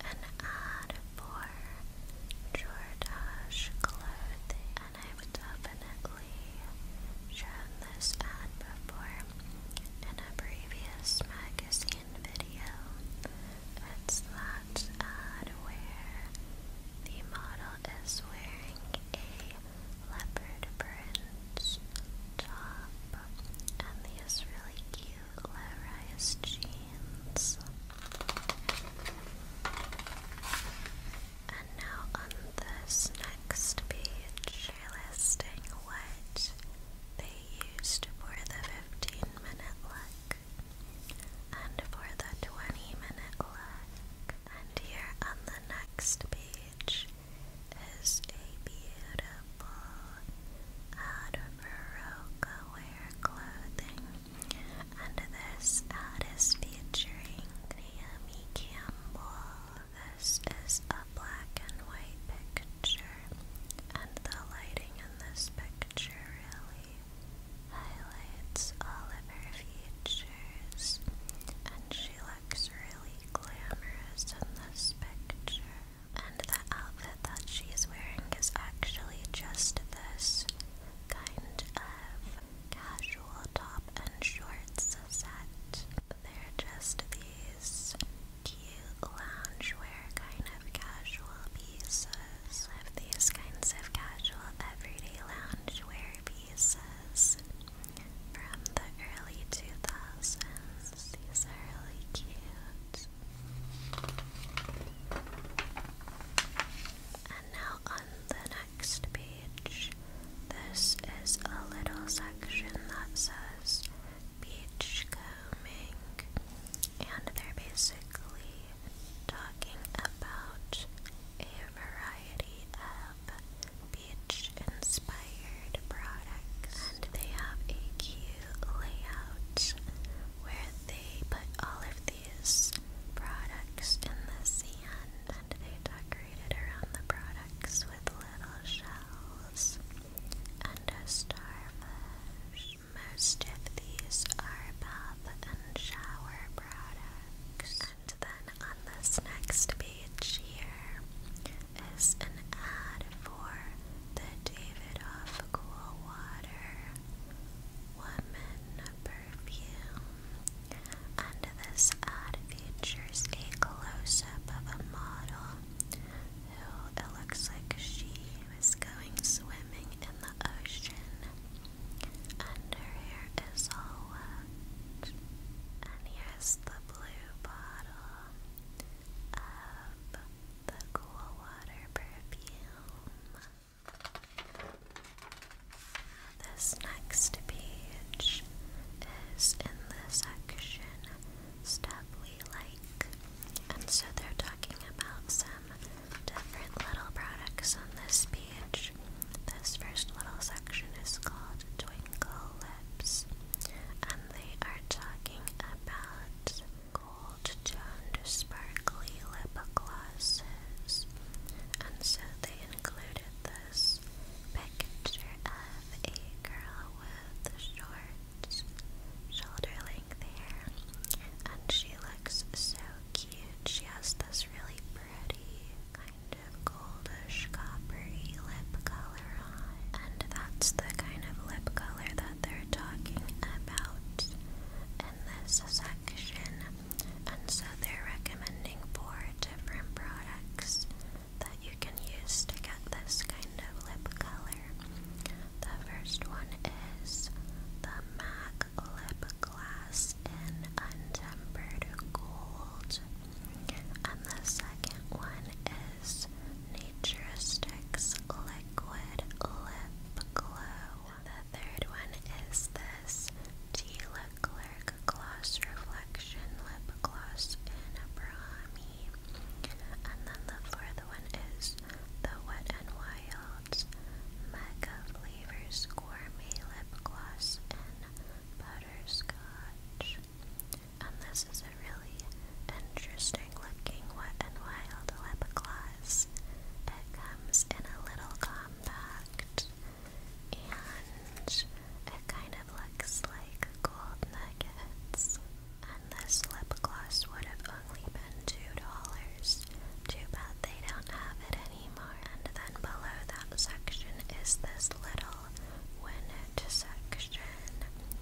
an ad for Jordache clothing. And I've definitely shown this ad before in a previous magazine video. It's that where the model is wearing a leopard print top and these really cute low jeans. And now on this next page, listing what they used for the 15 minute look and for the 20 minute look. And here on the next page is a beautiful ad for wear clothing. And this ad is featuring Naomi Campbell. This is a black and white picture and the lighting in this picture really highlights all of her features, and she looks really glamorous in this picture. And the outfit that she's wearing is actually just this kind of casual top and shorts set. They're just these cute loungewear kind of casual pieces. have these kinds of casual everyday loungewear pieces from the early 2000s. These are really cute. And now on the next page, this is a little section that says beachcombing, and they're basically talking about a variety of beach inspired products. And they have a cute layout where they put all of these products in the sand and they decorated around the products with little shells and a Most of these are bath and shower products. And then on this next page here is an ad for the Davidoff Cool Water Woman Perfume. And this ad features a close up of a model it looks like she was going swimming in the ocean, and her hair is all wet. And here's the blue bottle of the cool water perfume. This next page is in the section Stuff We Like and so they're talking about some different little products on this page. This first little section is called Twinkle Lips, and they are talking about gold toned sparkly lip glosses. And so they included this picture of a girl with short shoulder length there, and she looks so cute. She has this really pretty, kind of goldish, coppery lip color on, and that's the kind of lip color that they're talking about in this section. And so they're recommending four different products that you can use to get this kind of lip color. The first one is the MAC Lip Glass in Untempered Gold. And the second one is Naturistics Liquid Lip Glow. The third one is this T. Leclerc Gloss Reflection Lip Gloss in Brahmi. And then the fourth one is the Wet n Wild's Mecca Flavors Gourmet Lip Gloss in Butterscotch. And this is a really interesting looking Wet n Wild lip gloss. It comes in a little compact and it kind of looks like gold nuggets. And this lip gloss would have only been $2. Too bad they don't have it anymore. And then below that section is this little winnet section.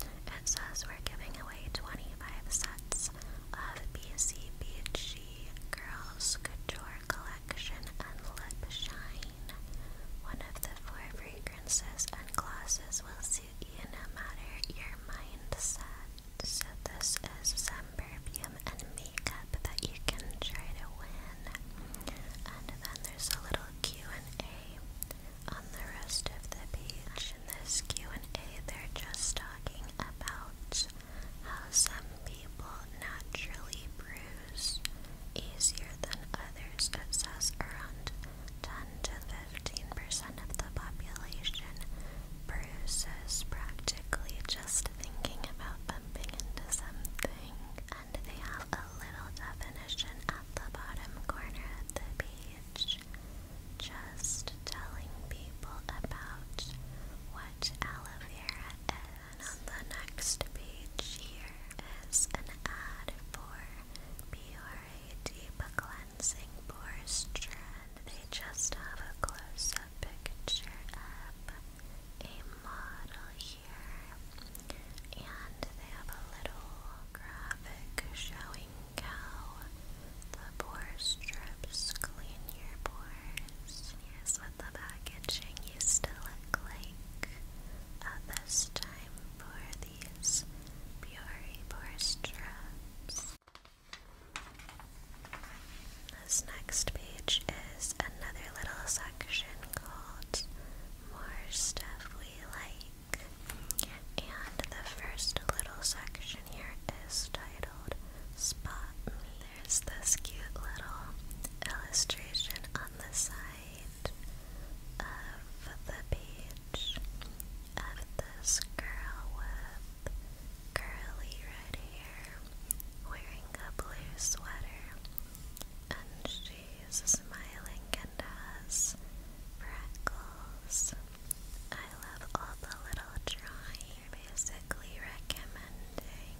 It says we're giving away 25 sets of BCBG Girls Couture Collection and Lip Shine. One of the four fragrances and glosses will see to you no matter your mindset. So this is some perfume and makeup that you can try to win. And then there's a little Q&A on the rest of the page. In this Q&A, they're just talking about how some people naturally bruise easier than others. It says around 10 to 15% of the population peruses practically just thinking about bumping into something. And they have a little definition at the bottom corner of the page. Just telling people about what aloe vera is. And on the next page here is an ad for Bior very deep cleansing moisture, and they just have a close up picture of a model here, and they have a little graphic showing how the pore strips clean your pores. Yes, with the packaging you still look like at this time for these pure pore strips. This next page is another little section called More Stuff We Like. And the first little section here is titled Spot Me. There's this cute little illustration on the side of the page image of this girl with curly red hair wearing a blue sweater, and she's smiling and has freckles. I love all the little drawing, basically recommending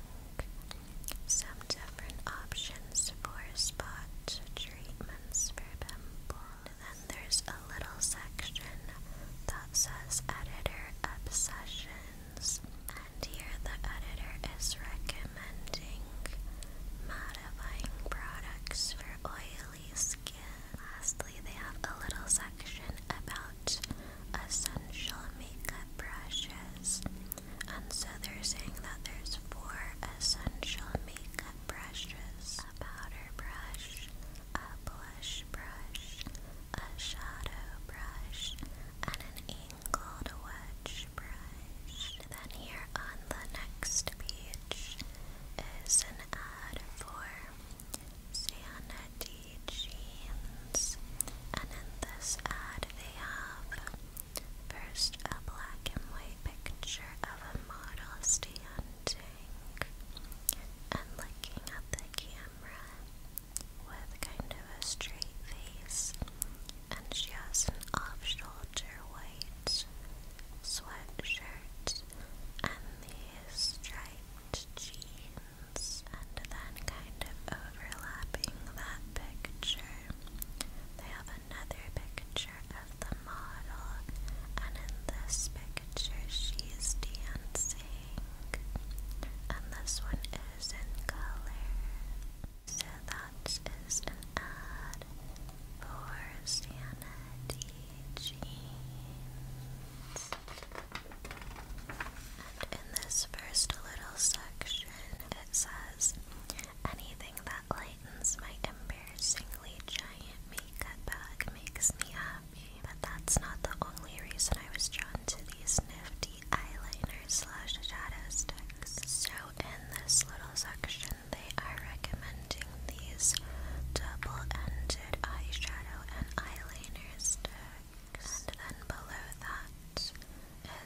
some different options for spot treatments for pimples then there's a little section that says editor obsessions, and here the editor is recommending modifying products for oily skin. Lastly, they have a little section about essential makeup brushes, and so they're saying that there's four essential makeup brushes a powder brush, a blush brush, a shadow brush, and an angled wedge brush. Then here on the next page is an ad for Sanity Jeans, and in this ad they have first a black and white picture of a model stand and looking at the camera with kind of a straight face, and she has an off shoulder white sweatshirt and these striped jeans, and then kind of overlapping that picture, they have another picture of the model, and in this picture making she's dancing. And this one is in color. So that is an ad for Sanity Jeans. And in this first little section, it says anything that lightens my embarrassingly giant makeup bag makes me happy but that's not the only reason I was drawn to these nifty eyeliners slash shadow So in this little section, they are recommending these double-ended eyeshadow and eyeliner sticks. And then below that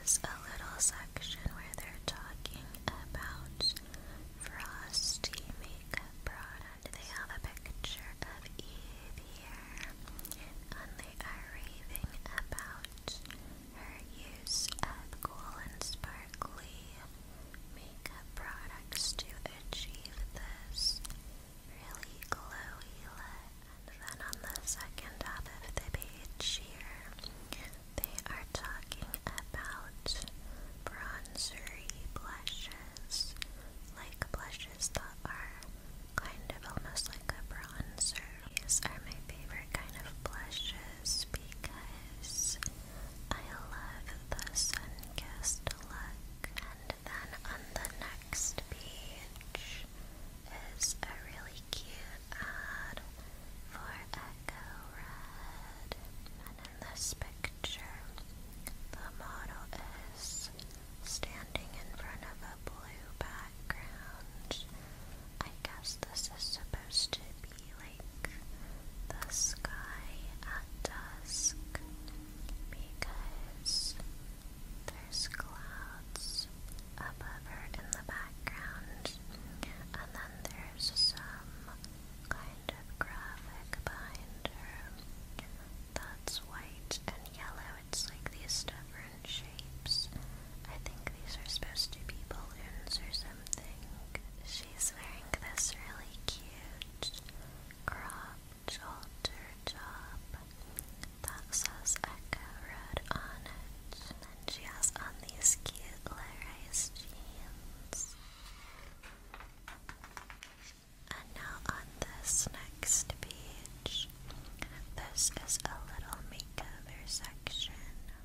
is a little section where they're talking about frosty makeup products they have a picture of Eve here. And they are raving about her use of cool and sparkly makeup products to achieve this really glowy look. And then on the second half of the page here, they are talking about bronzery blushes like blushes that are kind of almost like a bronzer. These are my favorite kind of blushes because I love the sun-kissed look. And then on the next page is a really cute ad for Echo Red. And in this picture picture, the model is standing in front of a blue background. I guess this is supposed to be like the sky at dusk because there's clouds above her in the background, and then there's some kind of graphic behind that's white and yellow. It's like these stubborn shapes. I think these are supposed to be balloons or something. She's wearing this really cute crop halter top that says Echo Road on it. And she has on these cute low-rise jeans. And now on this next page, this is a little makeover section.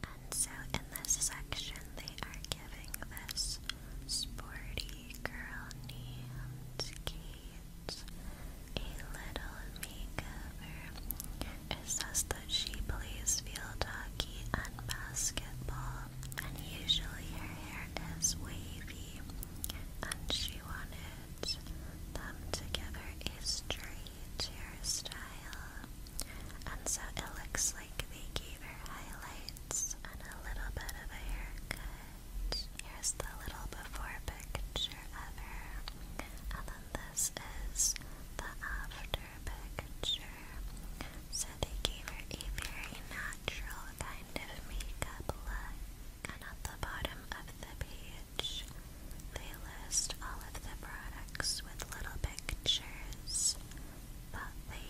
And so in this section, they are giving this sporty girl named Kate a little makeover. It says that she plays field hockey and basketball, and usually her hair is wavy and she wanted them to give a straight style. And so it looks like they gave her highlights and a little bit of a haircut. Here's the little before picture of her. And then this is the after picture. So they gave her a very natural kind of makeup look and at the bottom of the page, they list all of the products with little pictures that they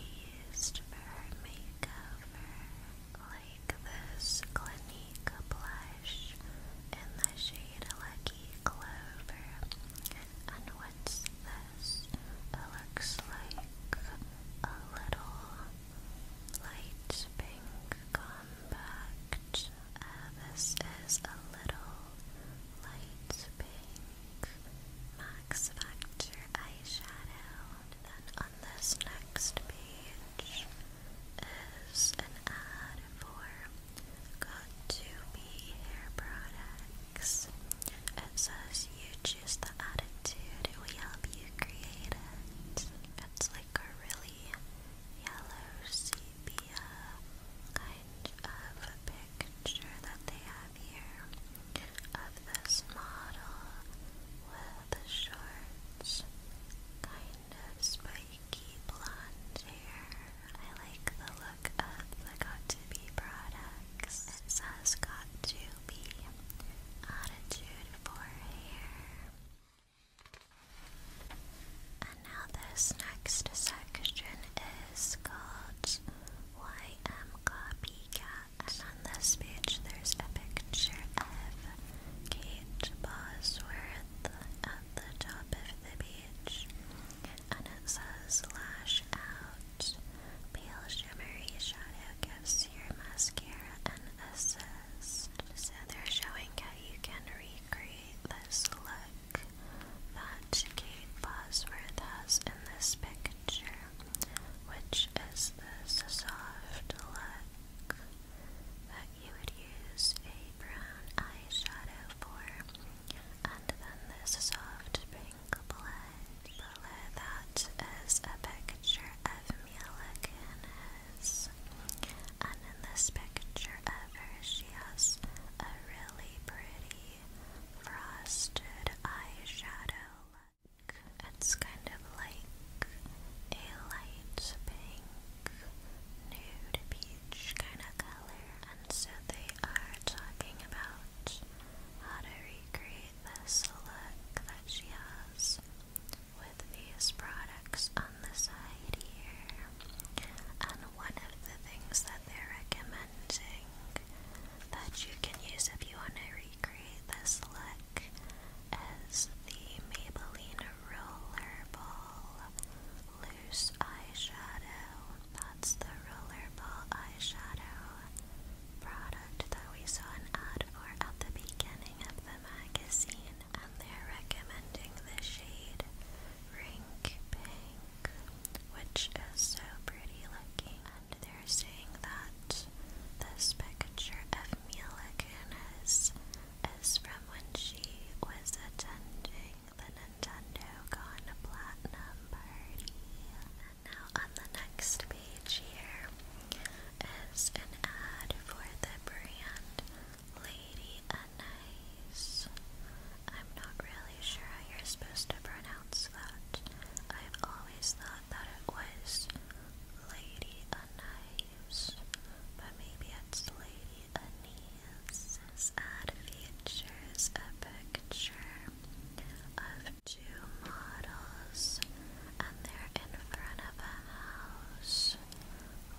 used for her like this Clinique blush in the shade Lucky Clover. And what's this? It looks like a little light pink compact. Uh, this is a little light pink Max Factor eyeshadow. And then on this next page is an ad for Got to Be Hair Products. It says you Choose the attitude, it help you create It's like a really yellow sepia kind of a picture that they have here of this model with the shorts, kind of spiky blonde hair. I like the look of the Got To Be products. It says Got To Be attitude and now this next section is called YM Copycat. on this page there's a picture of Kate Bosworth at the um, top of the beach. And it says lash out, pale shimmery shadow gives your mascara and assist. So they're showing how you can recreate this look that Kate Bosworth has in this picture, which is this soft look that you would use a brown eyeshadow for, and then this soft pink blush. that is a picture of Camila Canes. And in this picture of her, she has a really pretty frosted eyeshadow look. It's kind of like a light pink, nude peach kind of color. And so they are talking about how to recreate this look that she has with these products on the side here. And one of the things that they're recommending that you can use if you want to recreate this look is the Maybelline Rollerball Loose Eyeshadow. That's the Rollerball Eyeshadow product that we saw an ad for at the beginning opening up the magazine and they're recommending the shade Rink Pink, which is so pretty looking. And they're saying that this picture of Mila is from when she was attending the Nintendo Con Platinum Party. now on the next here is an ad for the brand Lady Anise. I'm not really sure how you're supposed to pronounce that. I've always thought that it was Lady Anise, but maybe it's Lady Anise. This ad features a picture of two models and they're in front of a house,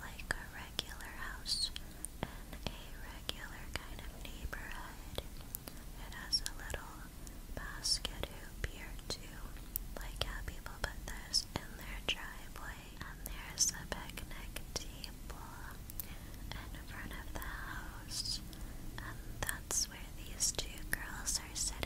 like a regular house, in a regular kind of neighborhood. It has a little basket hoop here too, like how people put this in their driveway. And there's a picnic table in front of the house, and that's where these two girls are sitting.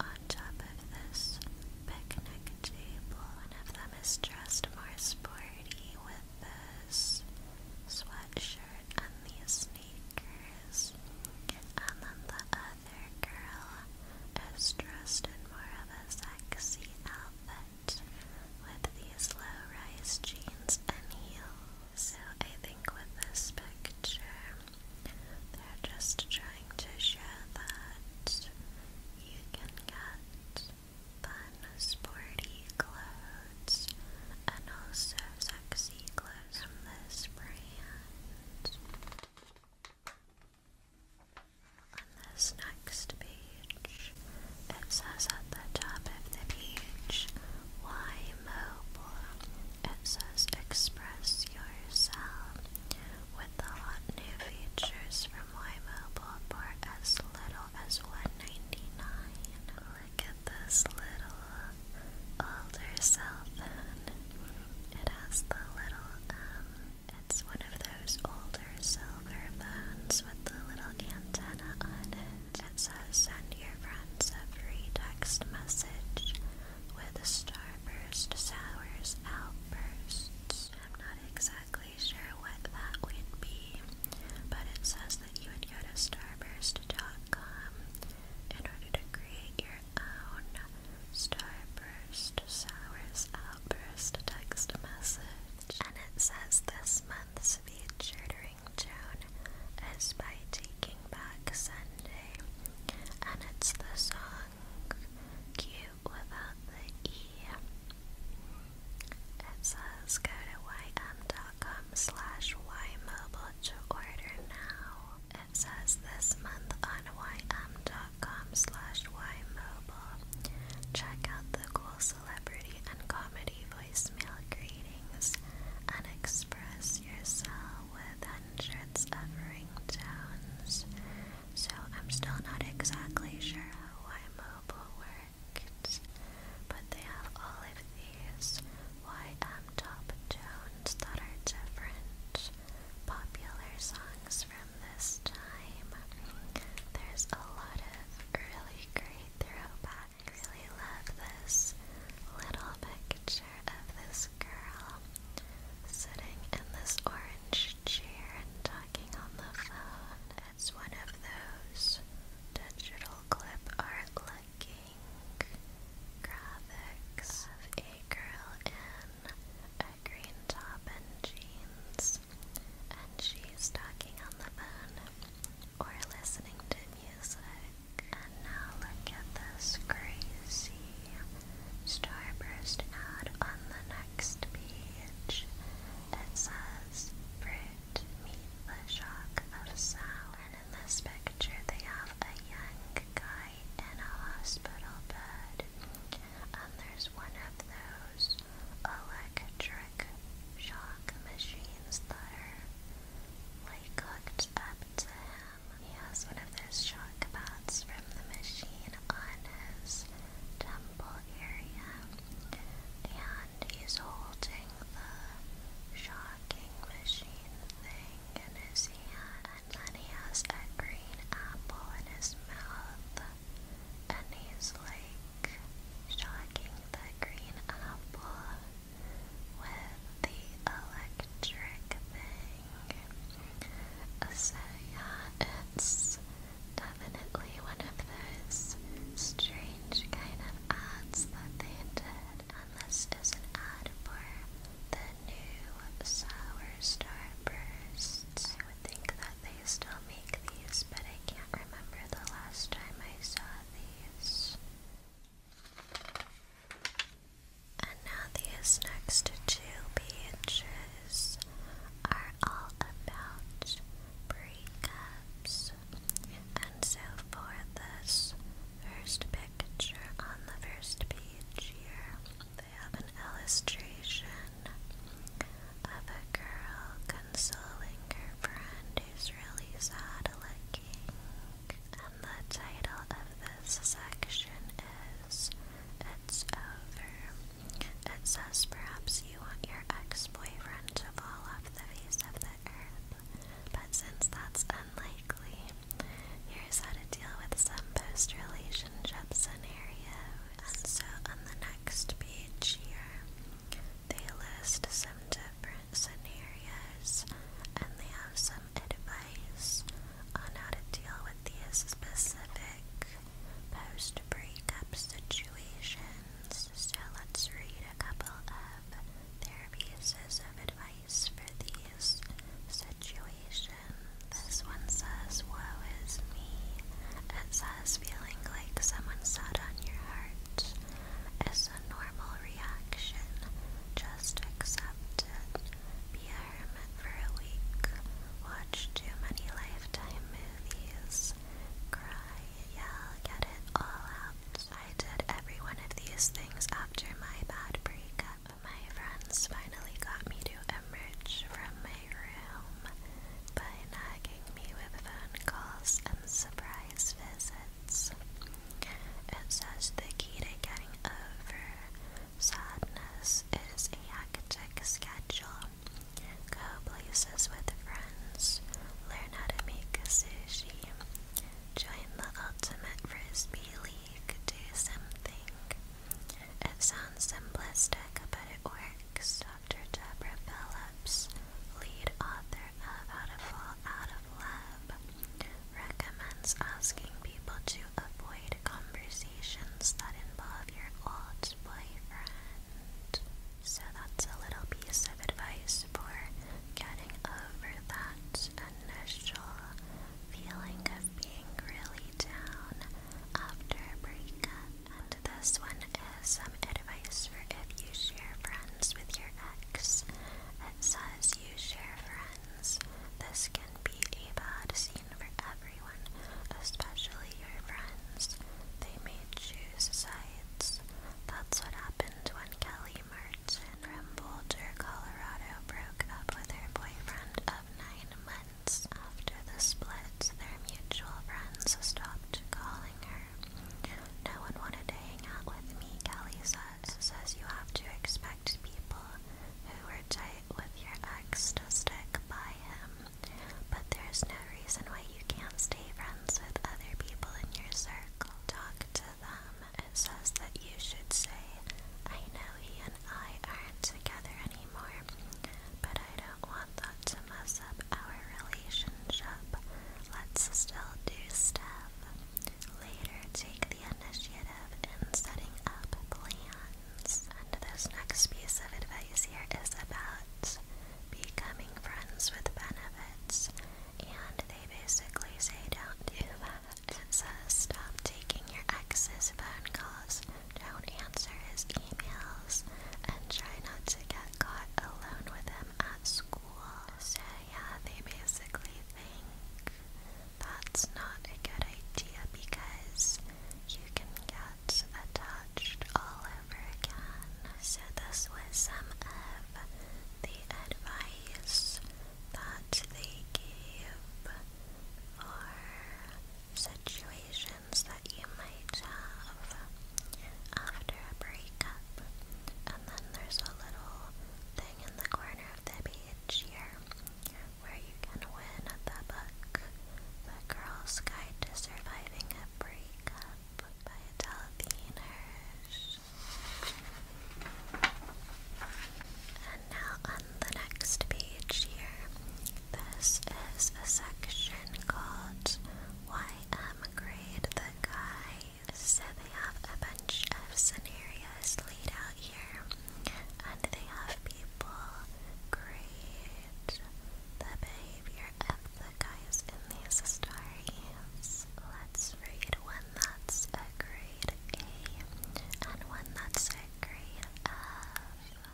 On top of this picnic table, one of them is dressed more sporty with this sweatshirt and these sneakers. And then the other girl is dressed in more of a sexy outfit with these low rise jeans and heels. So I think with this picture, they're just trying to show that you can get fun, sporty clothes and also sexy clothes from this brand. On this next page, it says at the top of the page, Why mobile? It says express yourself with the hot new features from Y-Mobile for as little as $199. Look at this little older cell phone. It has the little, um, it's one of those older silver phones with the little antenna on it. It says send your friends a free text message where the starburst sours outbursts. I'm not exactly sure what that would be, but it says that you would go to starburst.com in order to create your own starburst sours outburst text message. And it says this month's featured ringtone is by Taking Back Sunday, and it's the song cute without the E. It says go to ym.com slash ymobile to order now. It says this month on YM dot com slash Y Mobile. Check out the cool celebrity and comedy voicemail greetings and express yourself with hundreds of ringtones so I'm still not exactly sure how iMobile works, but they have all of these YM top tunes that are different popular songs from this time. There's a lot of really great throwbacks. I really love this little picture of this girl sitting in this orange chair and talking on the phone. It's one of those digital clip art looking graphics of a girl in a green top and jeans, and she's talking on the phone or listening to music. And now look at this crazy Starburst ad on the next page that says fruit meet the shock of sound. And in this picture they have a young guy in a hospital bed. And there's one of those electric shock machines that are like hooked up to him. He one of those shock knockbacks from the machine on his temple area, and he's holding the shocking machine thing in his hand, and then he has a green apple in his mouth, and he's like shocking the green apple with the electric thing. So yeah, it's definitely one of those strange kind of ads that they did. And this an ad for the new Sour Star I would think that they still make these, but I can't remember the last time I saw these. And now these next two pages are all about breakups. And so for this first picture on the first page here, they have an illustration of a girl consoling her friend who's really sad looking. And the title of this section is It's Over. It says perhaps you want your ex boyfriend to fall off the face of the earth, but since that's unlikely, here's how to deal with some post relationship scenarios. And so on the next page here, they list some different scenarios and they have some advice on how to deal with these specific post breakup situations. So let's read a couple of their pieces of advice for these situations. This one says, Woe is me. It says, feeling like someone sat on your heart is a normal reaction. Just accept it for a week, watch too many lifetime movies, cry, yell, get it all out. I did every one of these things after my bad breakup. My friends finally got me to emerge from my room by nagging me with phone calls and surprise visits. It says the key to getting over Sadness is a hectic schedule. Go places with friends. Learn how to make sushi. Join the ultimate frisbee league. Do something. It sounds simplistic, but it works. Dr. Deborah Phillips, lead author of How to Fall Out of Love, recommends asking people to avoid avoid conversations that involve your old boyfriend. So that's a little piece of advice for getting over that initial feeling of being really down after a breakup. And this one is some advice for if you share friends with your ex. It says you share friends. This can be a bad scene for everyone, especially your friends. They made choose sides. That's what happened when Kelly Merchant from Boulder, Colorado broke up with her boyfriend of nine months. After the split, their mutual friends stopped calling her. No one wanted to hang out with me, Kelly says. Says you have to expect people who were tight with your ex to stick by him. But there's no reason why you can't stay friends with other people in your circle. Talk to them. It says that you should say, I know he and I aren't together anymore, but I don't want that to mess up our relationship. Let's still do stuff. Later, take the initiative in setting up plans. And this next piece of advice here is about becoming friends with benefits. And they basically say don't do that. It says stop taking your ex's phone calls, don't answer his emails, and try not to get caught alone with him at school. So yeah, they basically think that's not a good idea because you can get attached all over again. So, this was some of the advice that they gave for situations that you might have after a breakup. And then there's a little thing in the corner of the page here where you can win the the Girl's Guide to Surviving a Breakup by Adele Hirsch. And now on the next page here, this is a section called YM Grade the Guy. So they have a bunch of scenarios laid out here, and they have people grade the behavior of the guys in these stories. Let's read one that's a grade A and one that's a grade F.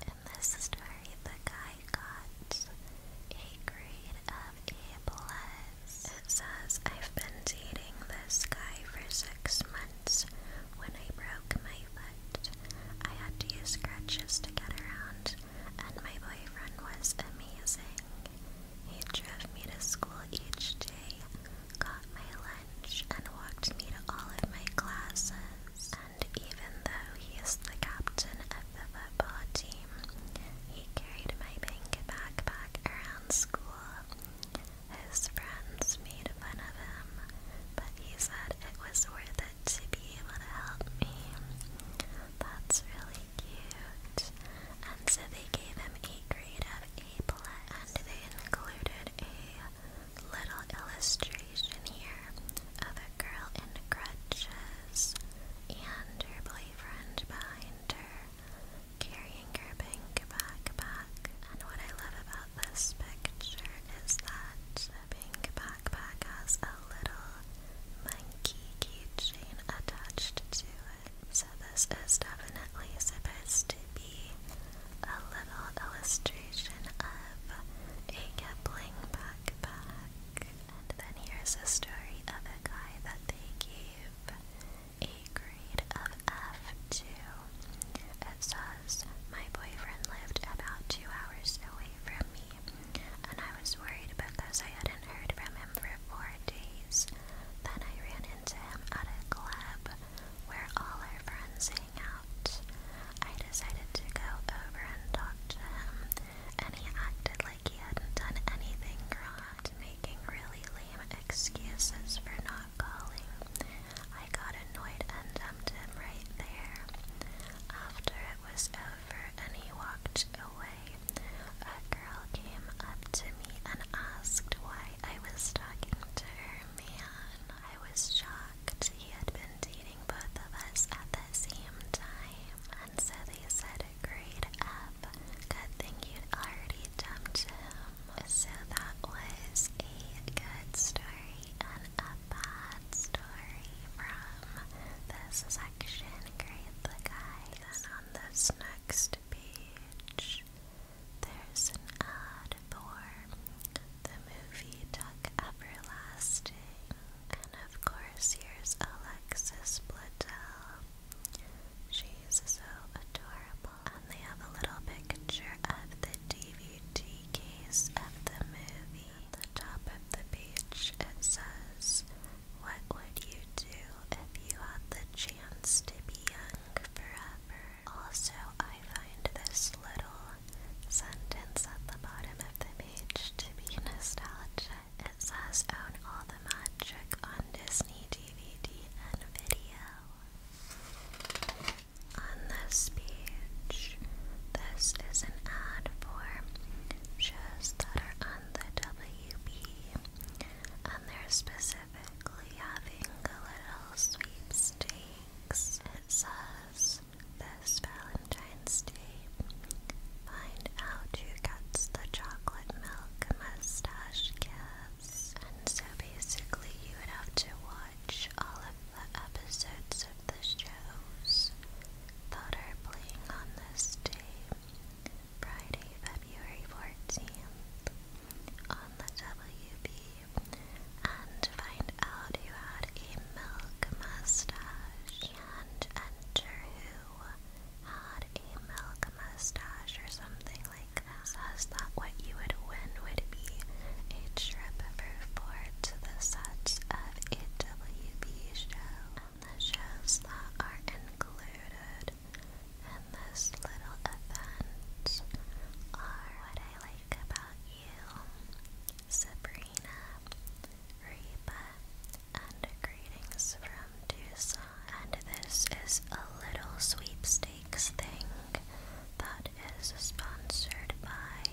In this story, the guy got a grade of A plus. It says, I've been dating this guy for six months. When I broke my but I had to use crutches to get around, and my boyfriend was amazing. He drove me to school each day, got my lunch, and walked me to all of my classes. And even though he is the captain of the football team, he carried my pink backpack around school. His friends made fun of him, but he said it was worth would be able to help me? That's really cute. And so they gave him a grade of A plus, and they included a little illustration here of a girl in crutches and her boyfriend behind her, carrying her pink backpack. And what I love about this picture is that pink backpack has a little monkey keychain attached to it. So this is definitely supposed to be a little illustration of a Kipling backpack. then here's a story of a guy that they gave a grade of F to. It says, My boyfriend lived about two hours away from me me, and I was worried because I hadn't heard from him for four days. Then I ran into him at a club where all our friends hang out. I decided to go over and talk to him, and he acted like he hadn't done anything wrong, making really lame excuses for not calling. I got annoyed and dumped him right there. After it was over and he walked away. A girl came up to me and asked why I was talking to her man. I was shocked. He had been dating both of us at the same time. And so they said, Great up. Good thing you'd already dumped him. So that was a good story and a story from this section, Grade the Guys. And on this next page, there's an ad for the movie Duck Everlasting. And of course, here's Alexis Bledel. She's so adorable. And they have a little picture of the DVD case of the movie the top of the page it says, What would you do if you had the chance to be young forever? Also, I find this little sentence at the bottom of the page to be nostalgic. It says, Own all the magic on Disney DVD and video. On this page, this is an ad for shows that are on the WB, and they're specifically having a little sweepstakes. It says this Valentine's Day, find out who gets the chocolate milk mustache kiss. And so basically, you would have to watch all of the episodes of the shows that are playing on this day, Friday, February 14th, on the WB, and find out who had a milk mustache, and enter who had a milk mustache or something like that. Says what you would win would be a trip to the sets of a WB show and the shows that are included in this little event are What I Like About You, Sabrina, Reba, and Greetings from Tucson. And this is a little sweepstakes thing that is sponsored by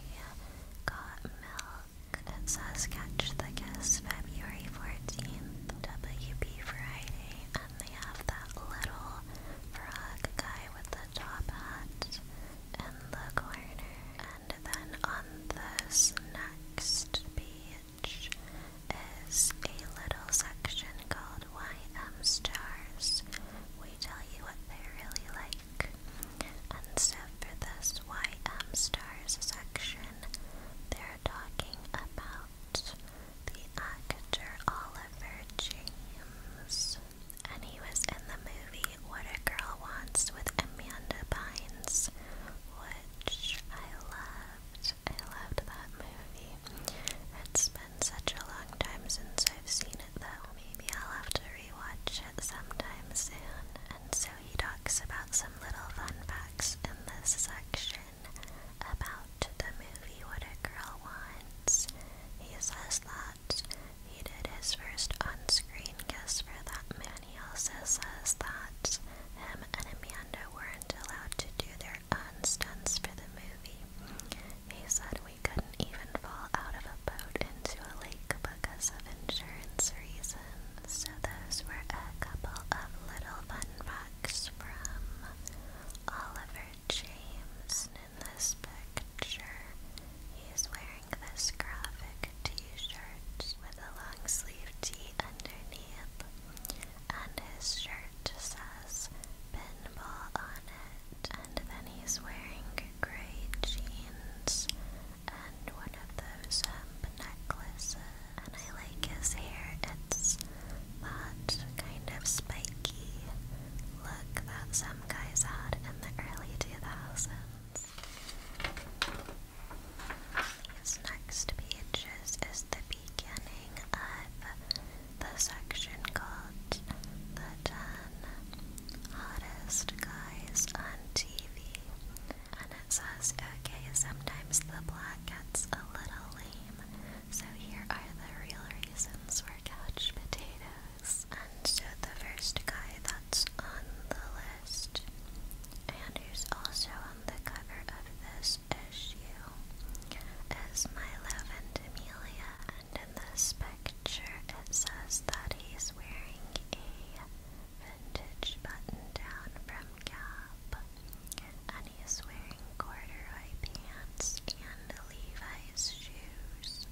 Got Milk book. It says catch the kiss February 14th, WP Friday, and they have that little frog guy with the top hat in the corner. And then on this next page is a little section called YM Stars. We tell you what they really like week. And so for this YM Stars section, they're talking about the actor Oliver James. And he was in the movie What a Girl Wants with Amanda Bynes, which I loved. I loved that movie. It's been such a long time since I've seen it though. Maybe I'll have to rewatch it sometime soon, and so he talks about some little fun facts in this section about the movie What a Girl Wants. He says that he did his first on screen kiss for that man. He also says that him and Amanda weren't allowed to do their own stunts for the movie. He said we couldn't even fall out of a boat into a lake because of insurance reasons. So, those were a couple of little fun facts from Oliver James. In this picture, he's wearing this graphic t shirt with a long sleeve tee underneath, and his shirt says pinball on it. And then he's wearing gray jeans and one of those um, necklaces. And I like his hair, it's that kind of spiky look that some guys had in the early 2000s. This next page is the beginning of the section called The 10 Hottest Guys on TV and it says, okay, sometimes the plot gets a little lame, so here are the real reasons for couch potatoes. And so the first guy that's on the list, and who's also on the cover of this issue, is Milo Ventimiglia, and in this picture it says that he's wearing a vintage button-down from Gap, and he is wearing corduroy pants and Levi's shoes,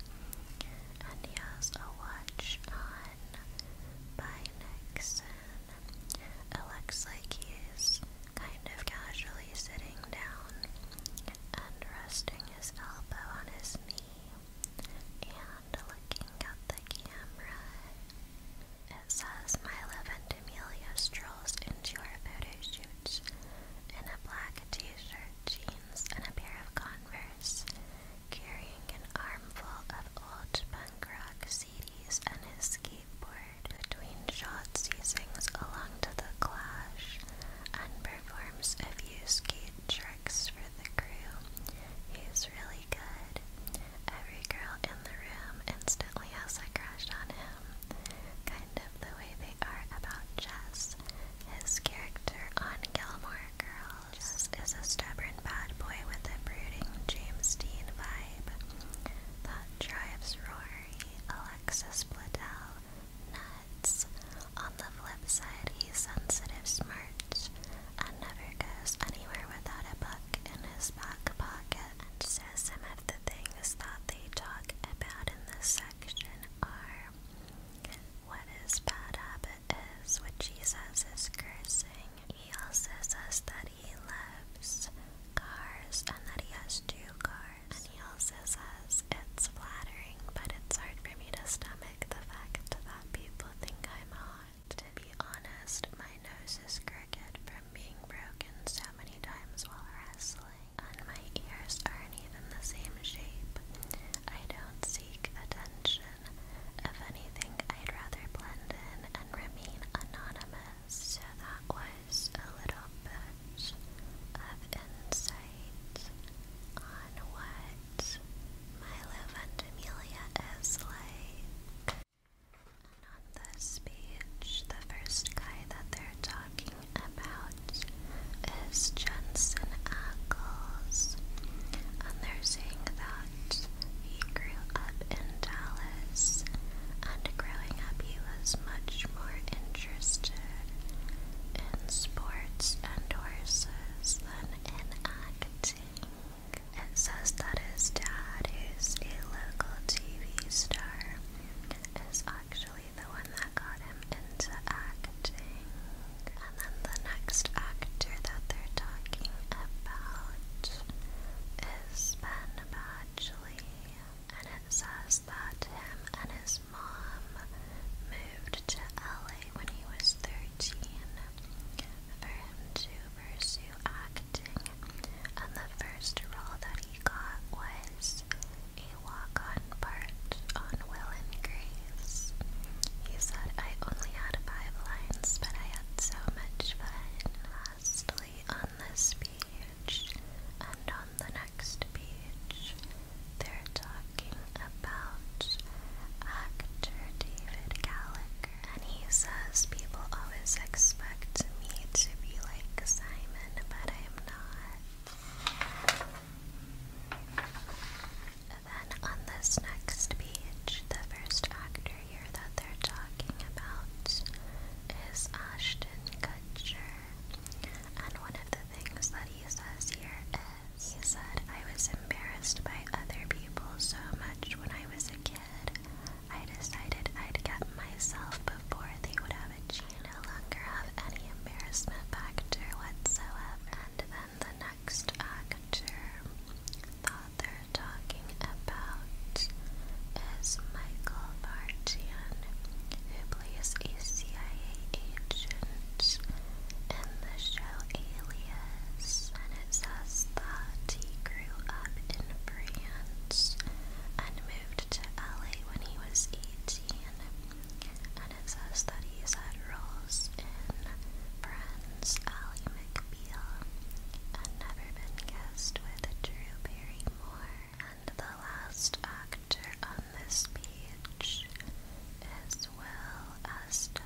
and he has a watch on by Nixon. It looks like he's kind of casually sitting down and resting his elbow on his knee, and looking at the camera. It says, My love and Amelia strolls into our photo shoot in a black t shirt, jeans, and a pair of Converse, carrying an armful of old punk rock CDs and his skateboard. Between shots, he sings along to the clash and performs a few skate tricks for the crew. He's really really good. Every girl in the room instantly has a crush on him. Kind of the way they are about Jess. His character on Gilmore Girls Jess is a stubborn bad boy with a brooding James Dean vibe that drives Rory, Alexis Bledel, nuts. On the flip side, he's sensitive, smart, March and never goes anywhere without a book in his back pocket and says some of the things that they talk about in this section are what his bad habit is, which he says is cursing. He also says that he loves cars and that he has two cars. And he also says it's flattering, but it's hard for me to stomach the fact that people think I'm hot. To be honest, my nose is crooked from being broken so many times while wrestling, and my ears aren't even the same shape. I don't seek attention. If anything, I'd rather blend in and remain anonymous. So that was a little bit of insight on what my love and Amelia is like. Not the speech. The first guy that they're talking about is Jensen Ackles. And they're saying that he grew up in Dallas. And growing up, he was much more interested in sports and horses than in acting. It says that his dad, is a local TV star, is actually the one that got him into acting. And then the next actor that they're talking about is Ben And it says that him and his mom moved to LA when he was 13 for him to pursue acting acting, and the first role that he got was a walk-on part on Will and Grace. He said, I only had five lines, but I had so much fun. Lastly, on this page, and on the next page, they're talking about actor David Gallic and he says, People always expect me to be like Simon, but I'm not. Then on this next page, the first actor here that they're talking about is Ashton Kutcher. And one of the things that he says here is he said, I was embarrassed by other people so much when I was a kid. I decided I'd get myself before they would have a chance. No longer have any embarrassment factor whatsoever. And then the next actor thought they're talking about is Michael Vartian, who plays a CIA agent in the show Alias it says that he grew up in France and moved to LA when he was 18. And it says that he's had roles in Friends, Ally McBeal, and Never Been Kissed with Drew Barrymore. And the last actor on this page is Will Estes.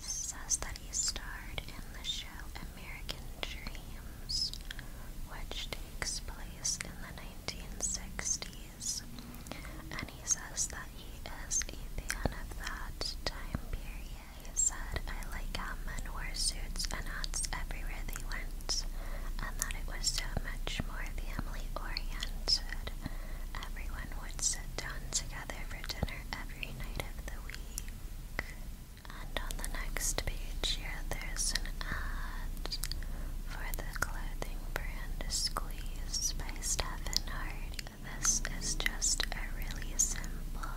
Says that he starred in the show American Dreams, which takes place in the 1960s, and he says that he is a fan of that time period. He said, I like how men wore suits and hats everywhere they went, and that it was so much more family oriented. Everyone would sit down together for dinner every night of the week. And on the next page here, there's an ad for the clothing brand Squeeze by Stephen Hart. This is just a really simple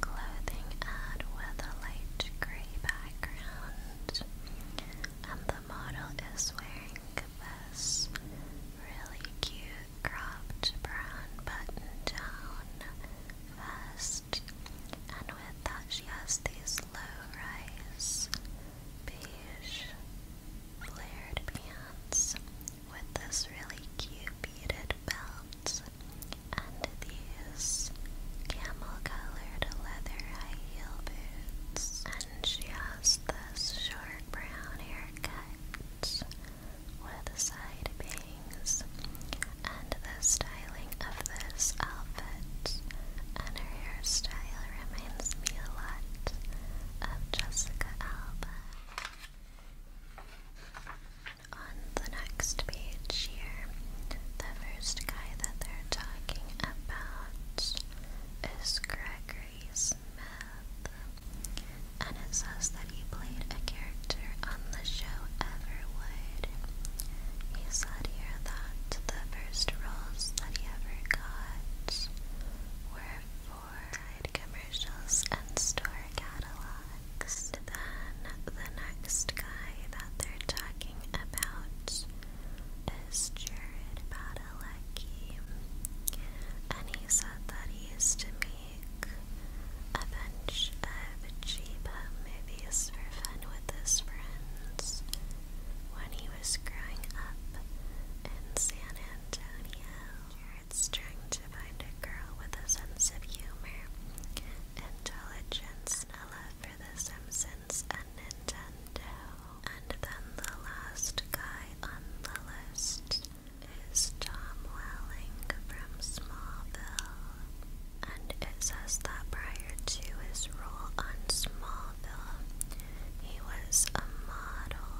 clothing ad with a light gray background. And the model is wearing this really cute cropped brown button down vest, and with that, she has these low-rise beige flared pants with this really cute beaded belt and these camel-colored leather high-heel boots, and she has this short brown haircut with side bangs, and the styling of this outfit and her hairstyle reminds me a lot of Jessica Alba. On the next page here, the first guy that they're talking about is Gregory Smith, and it says that he played a character on the show ever would. He said here that the first roles that he ever got were for commercials and store catalogs. Then the next guy that they're talking about is Jared Padalecki, and he said that he used to week a bunch of cheap movies for fun with his friends when he was growing up in San Antonio. Jared's trying to find a girl with a sense of humor, intelligence, love for The Simpsons and Nintendo. And then the last guy on the list is Tom Welling from Smallville and it says that prior to his role on Smallville, he was a model.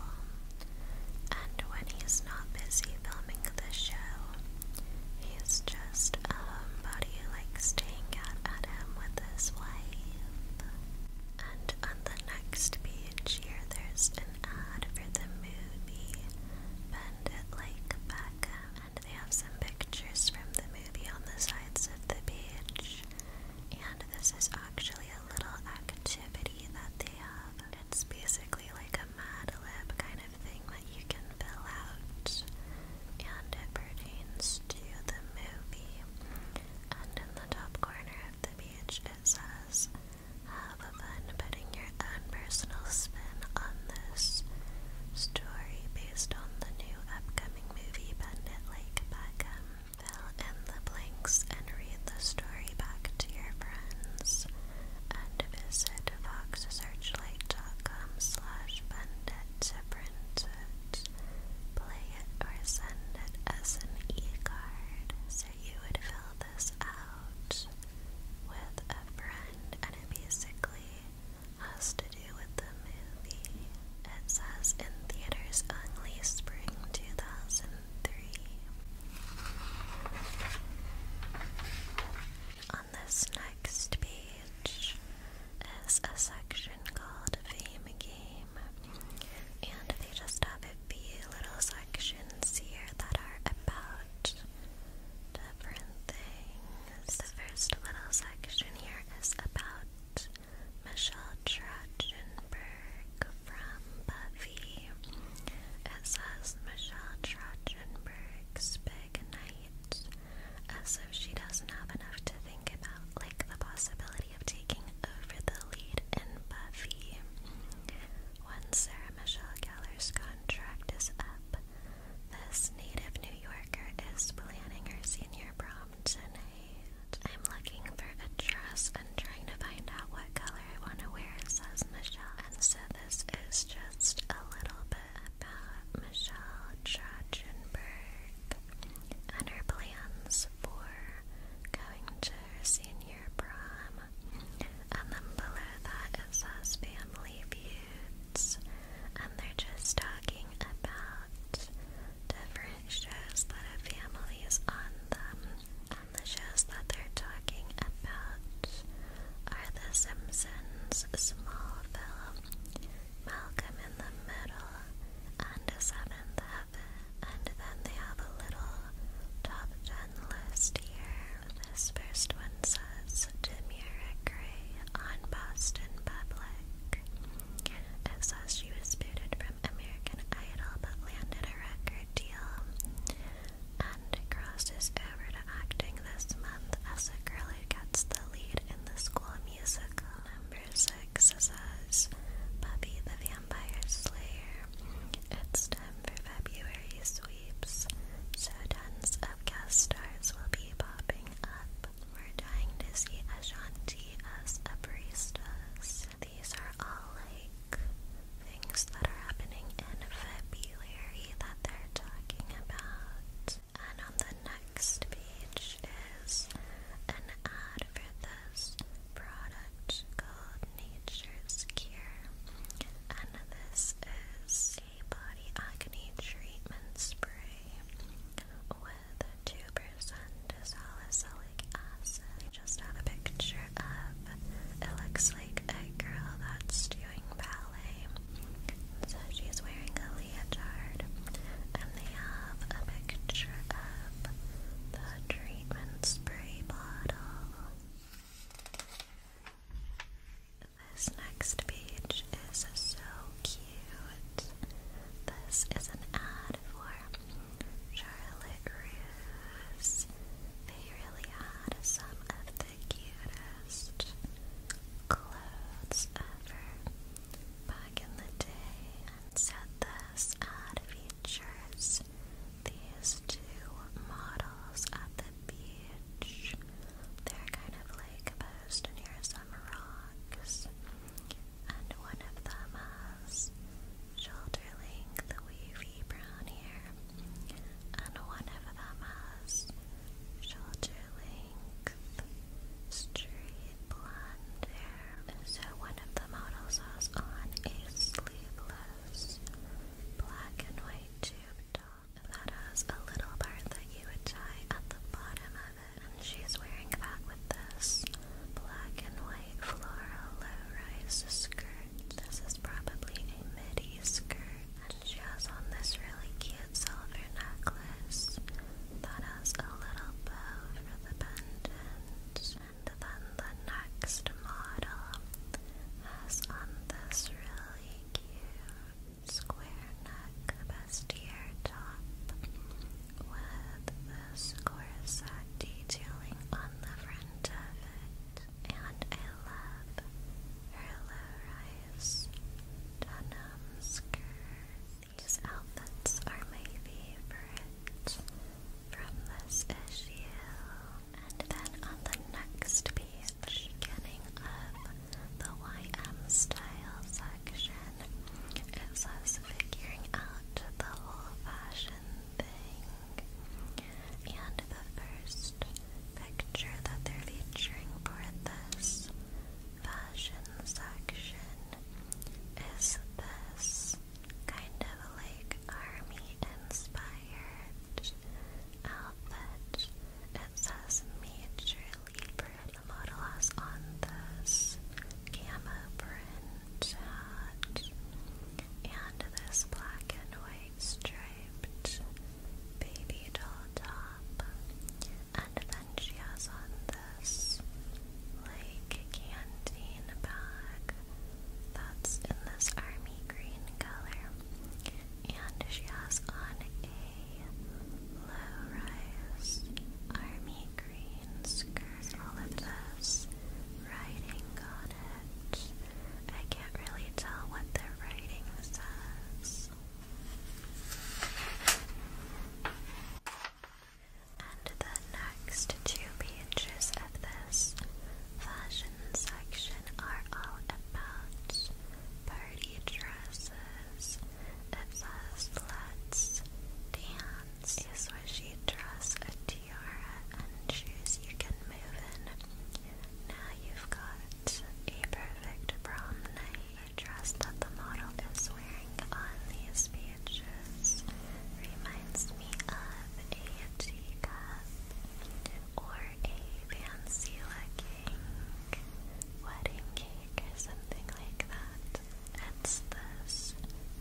And when he's not busy filming the show, he's just a homebody like staying out at Adam with his wife. And on the next page here, there's an ad for the movie Bend It Like Beckham, they have some pictures from the movie on the sides of the page. And this is actually a little activity that they have. It's basically like a Mad Lib kind of thing that you can fill out. And it pertains to the movie. And in the top corner of the page, it says, Have fun putting your and personal spin on this story based on the new upcoming movie Bandit Lake Beckham. Um, fill in the blanks and read the story back to your friends. And visit foxsearchlight.com slash bandit to print play it, or send it as an e-card. So you would fill this out with a friend and it basically has to do with the movie. It says in theaters only spring 2003. On this next page is a section called Fame Game, and they just have a few little sections here that are about different things. The first little section here is about Michelle Trachtenberg from Buffy. It says Michelle Trachtenberg's big night, as uh, if she doesn't have enough to think about, like the possibility of taking over the lead in Buffy. Once Sarah Michelle Gellar's contract is up, this native New Yorker is planning her senior prom tonight. I'm looking for a dress and trying to find out what color I want to wear, says Michelle. And so this is just a little bit about Michelle Trachtenberg and her plans for going to her senior prom. And then below that it says family view dudes, and they're just talking about different shows that have families on them. And the shows that they're talking about are The Simpsons, Smallville, Malcolm in the Middle, and A Seventh Heaven. And then they have a little top 10 list here this first one says to Gray on Boston Public. It says she was booted from American Idol but landed a record deal and crosses over to acting this month as a girl who gets the lead in the school musical. Number six says Buffy the Vampire Slayer. It's time for February's sweeps, so tons of guest stars will be popping up. We're dying to see Ashanti as a baristas. These are all like things that are happening in February that they're talking about. And on the next page is an ad for this product called Nature's Cure. And this is a body acne treatment spray with 2% salicylic acid. just had a picture of it looks like a girl that's doing ballet. So she's wearing a leotard, and they have a picture of the treatment spray bottle. This next beach is so cute. This is an ad for Charlotte Russe. They really had some of the cutest clothes ever back in the day. And so this ad features these two models at the beach they're kind of like posed near some rocks, and one of them has shoulder length wavy brown hair, and one of them has shoulder length straight blonde hair. So one of the models has on a sleeveless black and white tube top that has a little part that you would tie at the bottom of it. And she's wearing that with this black and white floral low-rise skirt. This is probably a midi skirt. And she has on this really cute silver necklace that has a little bow for the pendant. And then the next model has on this really cute square neck bustier top with this corset detailing on the front of it. And I love her low denim skirt. These outfits are my favorite from this issue. And then on the next piece, much getting of the YM style section. It says figuring out the whole fashion thing. And the first picture that they're featuring for this fashion section is this kind of like army inspired outfit. It says Major League the model has on this camo print hat and this black and white striped baby doll top. And then she has on this like canteen bag that's in this army green color. And she has on a low-rise army green All of this writing on I can't really tell what the writing says. And the next two pages of this fashion section are about party dresses. It dance. A swishy dress, a tiara, and shoes you can move in. Now you've got a perfect prom night. dress that the model is wearing on these pages reminds me of a teacup or a fancy looking wedding cake, or something like that. It's this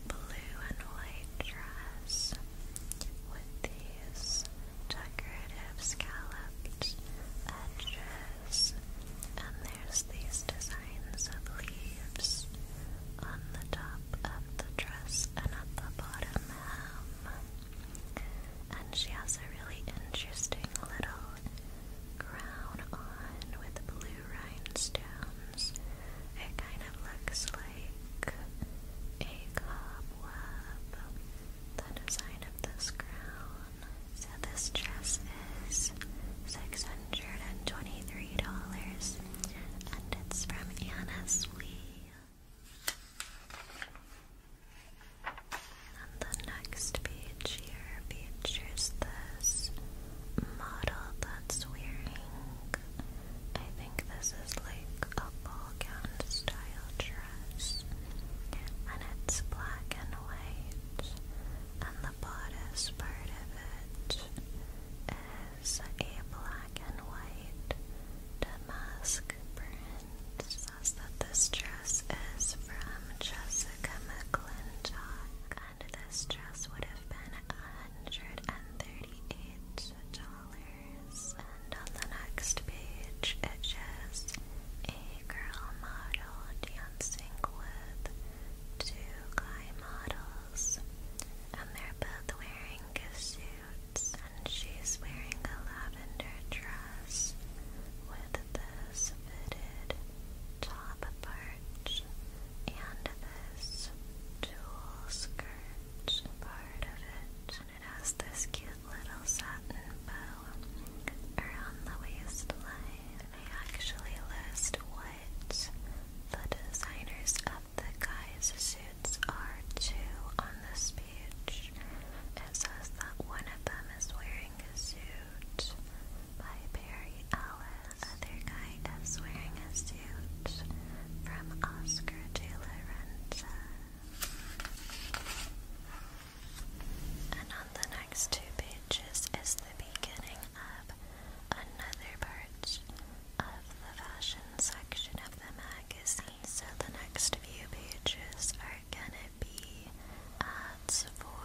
blue and white dress with these decorative scalloped edges, and there's these designs of leaves on the top of the dress and at the bottom hem. Um, and she has a really interesting little crown on with blue rhinestones. It kind of looks like a cobweb, the design of this crown. So this dress is $623 and it's from Anna Sweet. And the next page here features this model that's wearing. I think this is like a ball gown style dress. And it's black and white. And the bodice part of it is a black and white damask print. It that this dress is from Jesse a chemical and this dress would have been $138. And on the next page, it shows a girl model dancing with two guy models, and they're both wearing suits, and she's wearing a lavender dress with this fitted top part and this jewel skirt part of it. And it has this cute little satin bow around the waistline. And I actually list what the designers of the guys' suits are too on this page. It says that one of them is wearing Wearing a Suit by Barry Ellis. Other Kind of Swearing a Suit from Oscar De La Renta. And on the next two pages is the beginning of another part of the fashion section of the magazine. So the next few pages are are gonna be ads for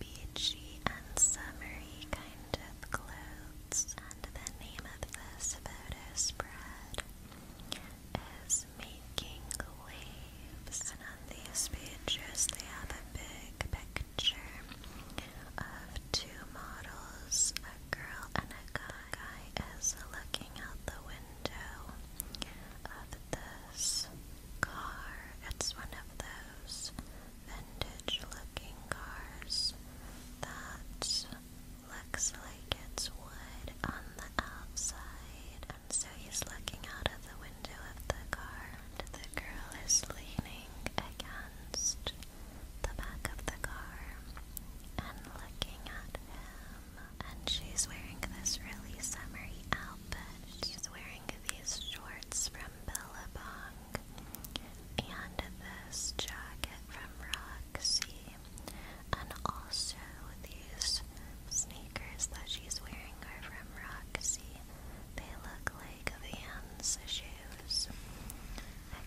beachy and summery kind of clothes, and the name of this photo spread is Making Waves. And on these pages, they have a big picture of two models a girl and a guy. guy looking out the window of this car. It's one of those vintage looking cars that looks like it's wood on the outside. And so he's looking out of the window of the car, and the girl is leaning against the back of the car and looking at him. And she's wearing this really summery outfit she's wearing these shorts from Bella Billabong and this jacket from Roxy, and also these sneakers that she's wearing are from Roxy. They look like Vans shoes,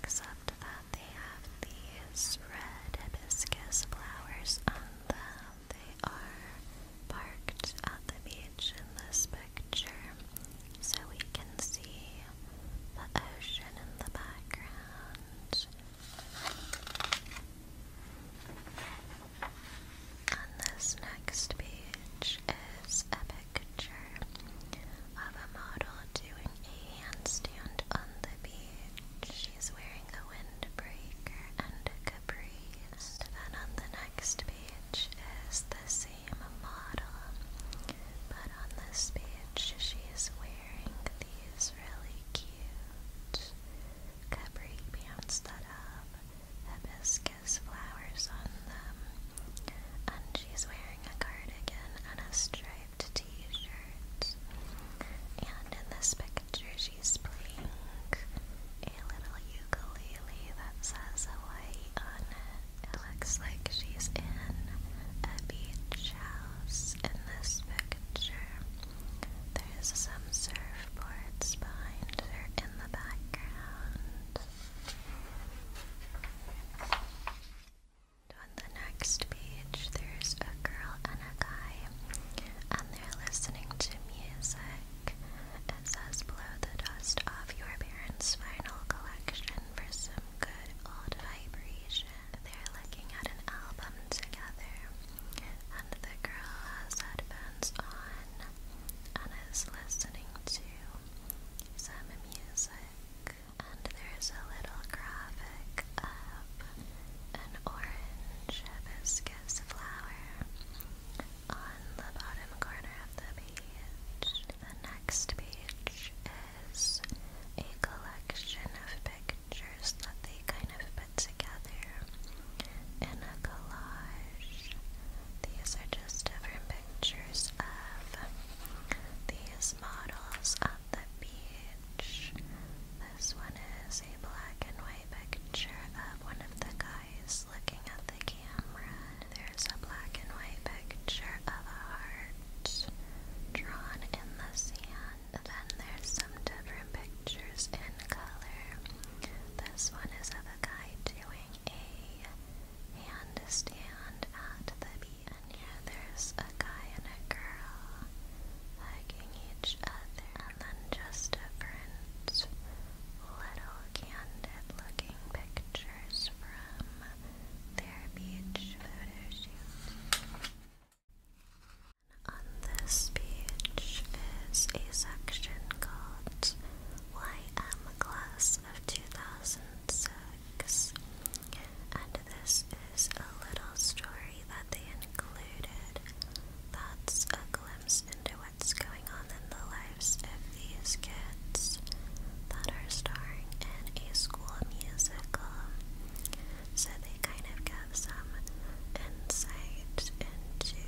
except that they have these red hibiscus flowers on them they are parked at the beach in this picture, so we can see the ocean in the background. On this next page is a picture of a model doing a handstand on the beach. She's wearing a windbreaker and a capri. And on the next page is the same model, but on this page she's wearing these really cute capri pants that have hibiscus flowers on them, and she's wearing a cardigan and a striped t-shirt. And in this picture, she's playing a little ukulele that says Hawaii on it. It looks like she's in a beach house in this picture. There's some surfboards behind her in the background. On the next page, there's a girl and a guy, and they're listening to music check. It says blow the dust off your parents' vinyl collection for some good old vibration. They're looking at an album together, and the girl has headphones on and is listening to some music. And there's a little graphic of an orange hibiscus flower on the bottom corner of the page. The next page is a collection of pictures that they kind of put together in a collage. These are just different pictures of these models on the beach. This one is a black and white picture of one of the guys looking at the camera there's a black and white picture of a heart drawn in the sand. Then there's some different pictures in color. This one is of a guy doing a handstand at the beach. And here there's a guy and a girl hugging each other. And then just different little candid looking pictures from their beach photo On this beach is a section called YM Class of 2006, and this is a little story that they included that's a glimpse into what's going on in the lives of these kids that are starring in a school musical. So they kind of get some insight into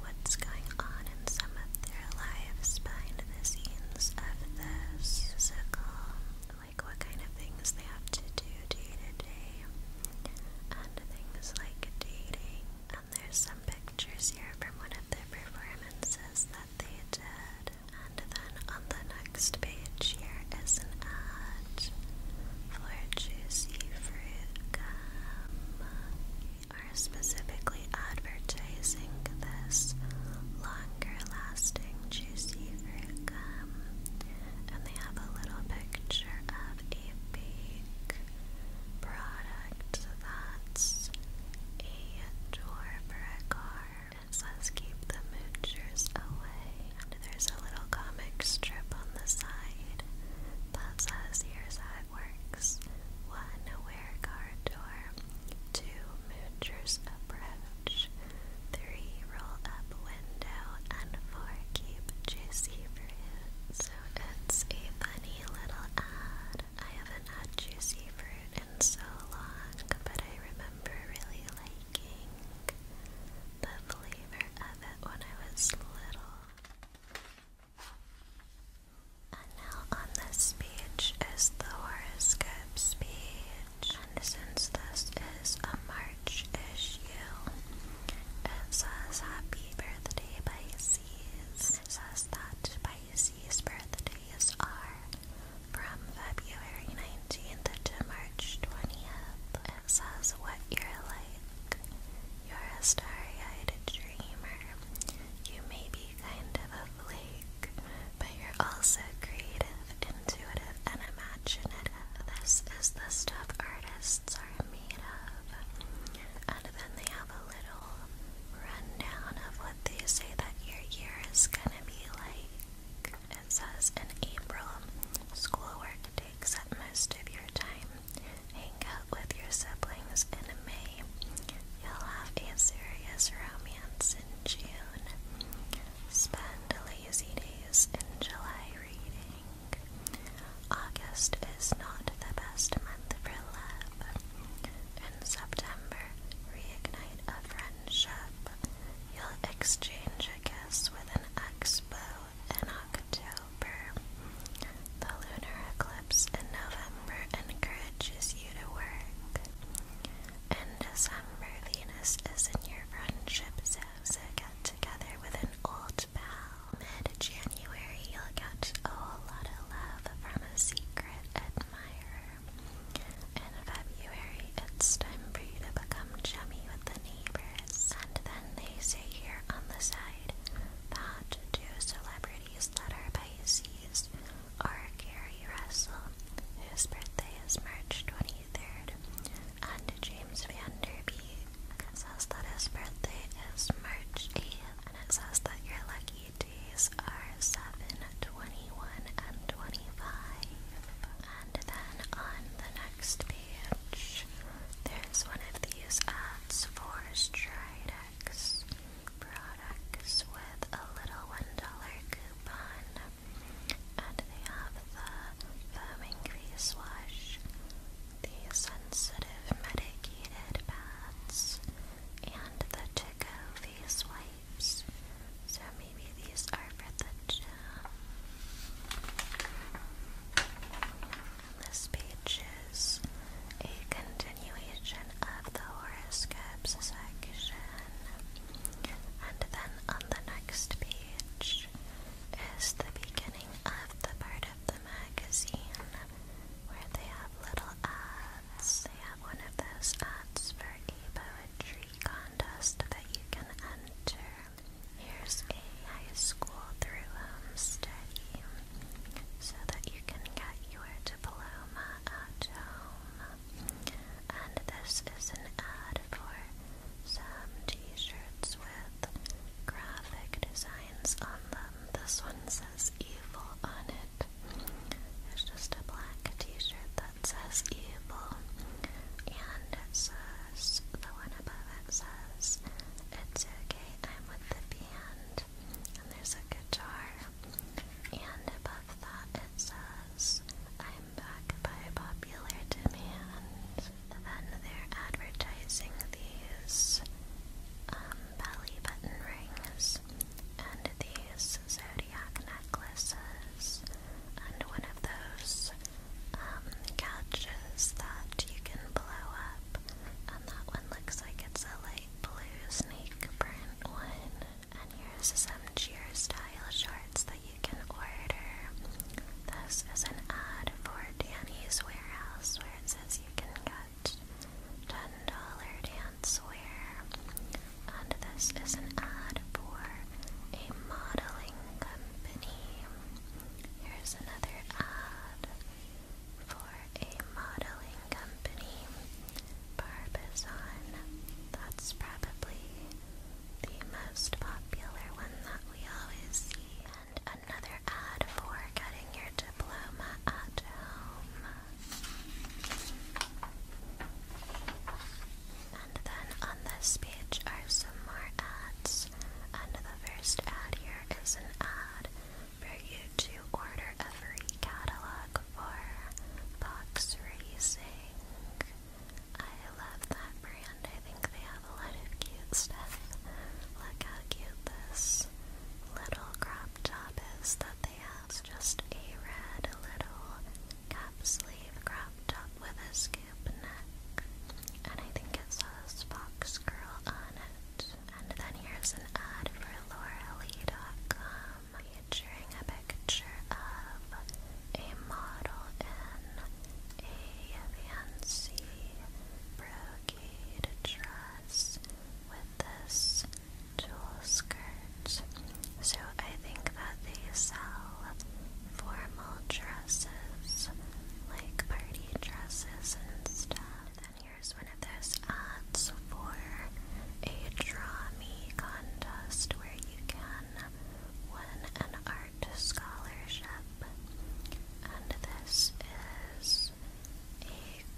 what's going on in some of their lives behind the scenes of this musical, like what kind of things they have to do day to day, and things like dating there's some pictures here from one of their performances that they did. And then on the next page here is an ad for juicy fruit are specifically advertising this longer lasting juicy fruit gum. And they have a little picture of a bake product that's a door for a car. It says keep the moochers away. there's a little comic strip on the side that says here's how it works. One aware car door. Two moochers approach. Three roll up window and four keep juicy fruit. So it's a funny little ad food. I haven't had juicy fruit in so long, but I remember really liking the flavor of it when I was little. And now on this page is the horoscopes page. And since this is a March issue, it says happy birthday Pisces. It says that by Pisces birthdays are from February 19th to March 20th. It says what you're like. You're a starry-eyed dreamer. You may be kind of a flake, but you're also creative, intuitive, and imaginative. This is the stuff artists are made of. And then they a little rundown of what they say that your year is gonna be like. It says in April, schoolwork takes up most of your time. Hang out with your siblings in May. You'll have a serious romance in June. Spend lazy days in July reading. August is not the best month for love in September, reignite a friendship. You'll exchange a kiss with an expo in October. The lunar eclipse in November encourages you to work. In December, Venus is in your friendship so get together with an old pal. Mid January, you'll get a whole lot of love from a secret in February, it's time for you to become chummy with the neighbors. And then they say here on the side that two celebrities that are Pisces are Gary Russell, whose birthday is March 23rd, and James Van Vanderbeek. It says that his birthday is March 8th, and it says that you're lucky days are 7, and 25. And then on the next page, there's one of these ads for Stridex products with a little $1 coupon. And they have the foaming face wash, the sensitive medicated pads, and the to face wipes. So maybe these are for the gym. this page is a continuation of the horoscopes section. And then on the next page is the beginning of the part of the magazine where they have little ads. They have one of those ads for a poetry contest that you can enter. Here's a high school through home study so that you can get your diploma at home. And this is an ad for some t-shirts with graphic designs on them. This one says evil on it. It's just a black t-shirt that says evil. And it says, the one above it says, it's okay, I'm with the band. And there's a guitar. And above that it says, I'm back by popular demand. Then they're advertising these um, belly button rings and these zodiac necklaces, and one of those um, couches that you can blow up, and that one looks like it's a light blue snake print one. And here's some cheer style shorts that you can order. This is an ad for Danny's Warehouse where it says you can get $10 dancewear. And this is an ad for a modeling company. Here's another ad for a modeling company. Barbizon. That's probably the most popular one that we always see. And another ad for getting your diploma at home. And then on this page are some more ads. And the first ad here is an ad for you to order every catalog for Box Racing. I love that brand. I think they have a lot of cute stuff. Look how cute this little crop top is that they have that's just a red little cap sleeve crop top with a scoop neck. And I think it says Fox Girl on it. And then here's an ad for Lauralee.com featuring a picture of a model in a fancy brocade dress with this tulle skirts. So I think that they sell formal dresses, like party dresses and stuff. And then here's one of those ads for a draw me contest where you can win an art scholarship. And this is a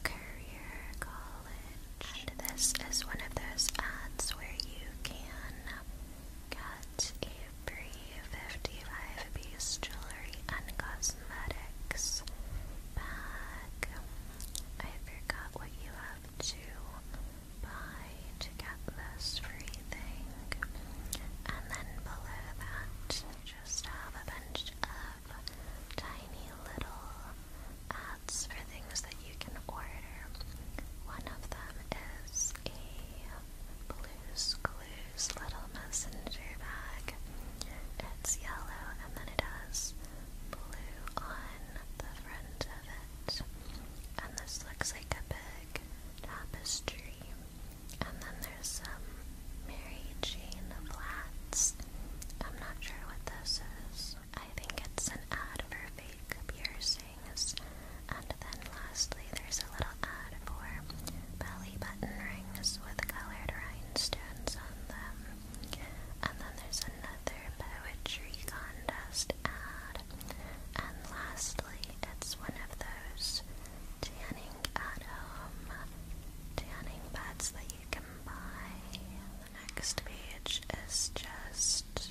Courier College. And this is one of those ads where you can get a free 55 piece jewelry and cosmetics bag. I forgot what you have to buy to get this free thing. And then below that, just have a bunch of tiny little ads things that you can order. One of them is a Blue's Clues little messenger bag. It's yellow and then it has blue on the front of it. And this looks like a big tapestry. And then there's some Mary Jane flats. I'm not sure what this is. I think it's an ad for fake piercings. And then lastly, there's a little ad for belly button rings with colored rhinestones on them. And then there's another poetry contest ad. And lastly, it's one of those tanning at home tanning beds that you can buy the next page is just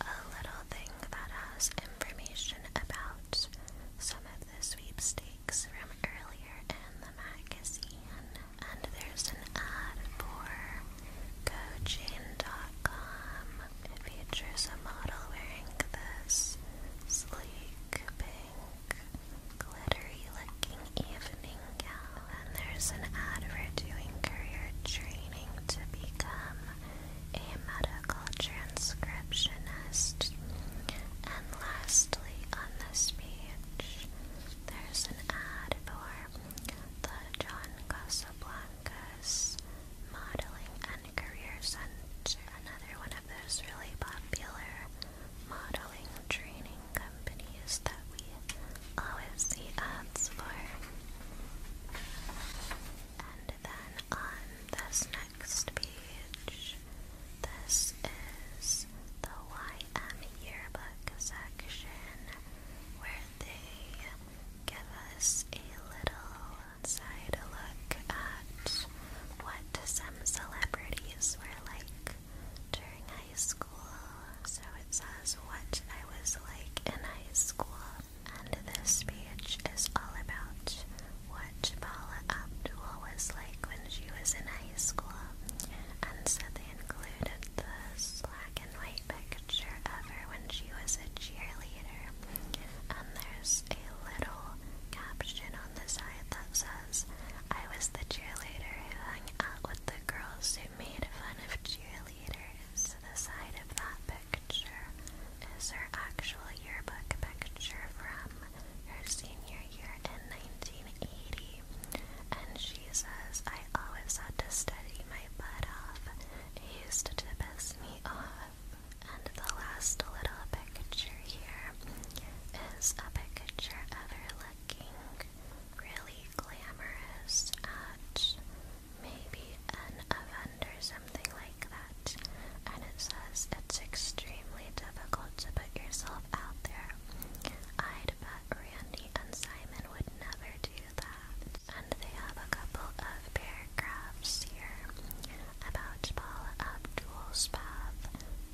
a little thing that has information about some of the sweepstakes from earlier in the magazine. And there's an ad for GoChain.com. It features a model wearing this sleek, pink, glittery looking evening out. And there's an ad career training to become a medical transcriptionist. And lastly, on this page, there's an ad for the John Casablancas Modeling and Career Center, another one of those really popular modeling training companies that we always see for. And then on this next page, this is the YM yearbook section where they give us a little side look at what some celebrities were like during high school. So it says what I was like in high school. And this page is all about what Paula Abdul was like when she was in high school. And so they included the black and white picture of her when she was a cheerleader. And there's a little caption on the side that says, I was the cheerleader who hung out with the girls who made fun of cheerleaders later is to the side of that picture is her actual yearbook picture from her senior year in 1980. And she says, I always had to study my butt off. It used to piss me off. And the last little picture here is a picture of her looking really glamorous at maybe an event or something like that. And it says it's extremely difficult to put yourself out there. I'd bet Randy and Simon would never do that. And they have a couple of paragraphs here about Paul Abdul's path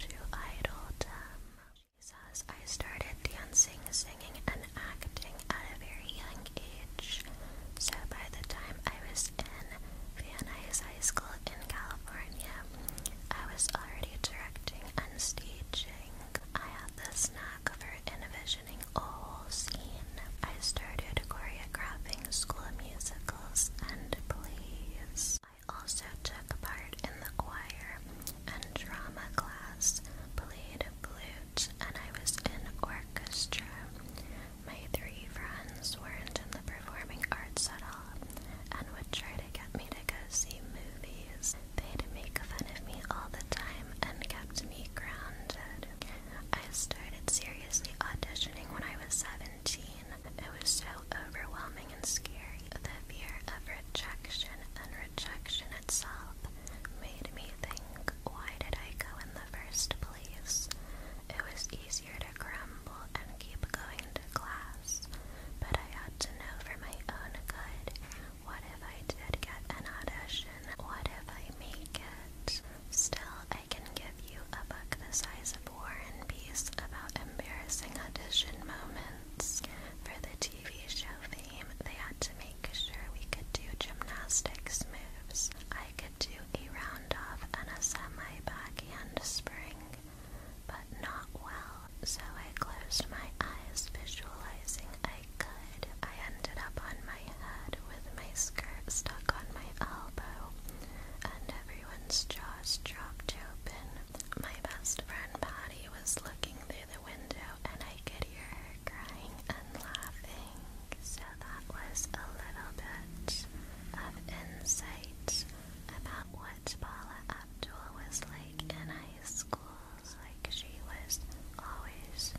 to idoldom says, I started dancing, singing, and acting at a very young age. So by the time I was in Van Nuys High School in California, I was already directing and staging. I had this knack for envisioning a whole scene. I started choreographing school musicals and plays. I also took part in the choir and drama class, played blues church and I was in orchestra. My three friends weren't in the performing arts at all and would try to get me to go see movies. They'd make fun of me all the time and kept me grounded. I started seriously auditioning when I was 17. It was so overwhelming and scary. The fear of rejection and rejection itself made me think, why did I go in the first place? It was easier to crumble and keep going to class, but I had to know for my own good. What if I did get an audition? What if I make it? Still, I can give you a book the size of War and Peace about embarrassing audition moments for the TV show fame, they had to make sure we could do gymnastics moves. I could do a roundoff and a semi backhand spring, but not well. So I closed my eyes, visualizing I could. I ended up on my head with my skirt stuck on my elbow, and everyone's jaws dropped open. My best friend Patty was looking through the window and I could hear her crying and laughing. So that was a little bit of insight about what Paula Abdul was like in high school. Like she was always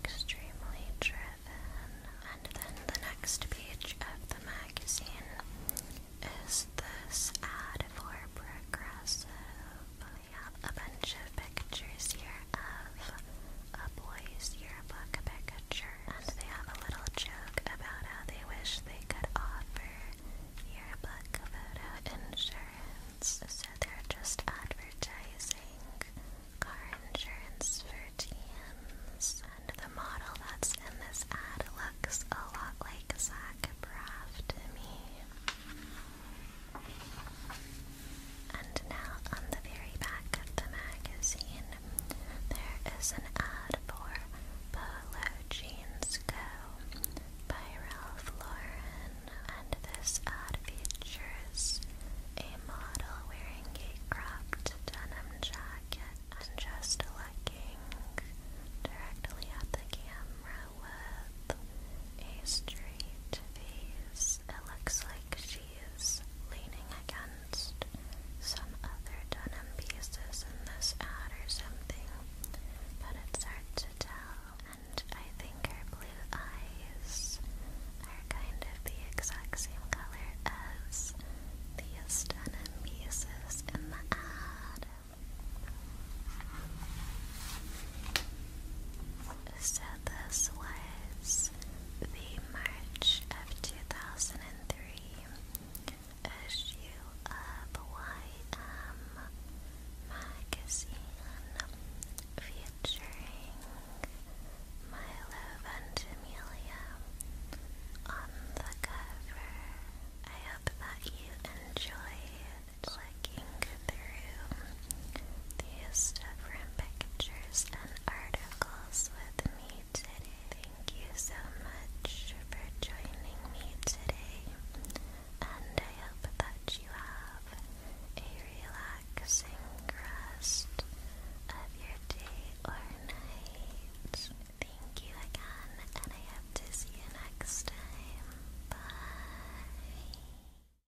extremely driven. And then the next page of the magazine is this ad for Progressive we have a bunch of pictures here of a boy's yearbook picture, and they have a little joke about how they wish they could offer yearbook photo insurance, so they're just advertising car insurance for teens. And the model that's in this ad looks a lot like Zach Braff to me. And now on the very back of the magazine, there is an ad for Polo Jeans Go by Ralph Lauren. And this ad features a model wearing a cropped denim jacket and just looking directly at the camera with a straight face it looks like she is leaning against some other denim pieces in this ad or something, but it's hard to tell. And I think her blue eyes are kind of the exact same color as these denim pieces in the ad. So this was the March of 2003 issue of YM magazine featuring Milo Ventimiglia on the cover. I hope that you enjoyed flicking through these different pictures and articles with me today. Thank you so much for joining me today, and I hope that you have a relaxing rest of your day or night. Thank you again, and I hope to see you next time. Bye.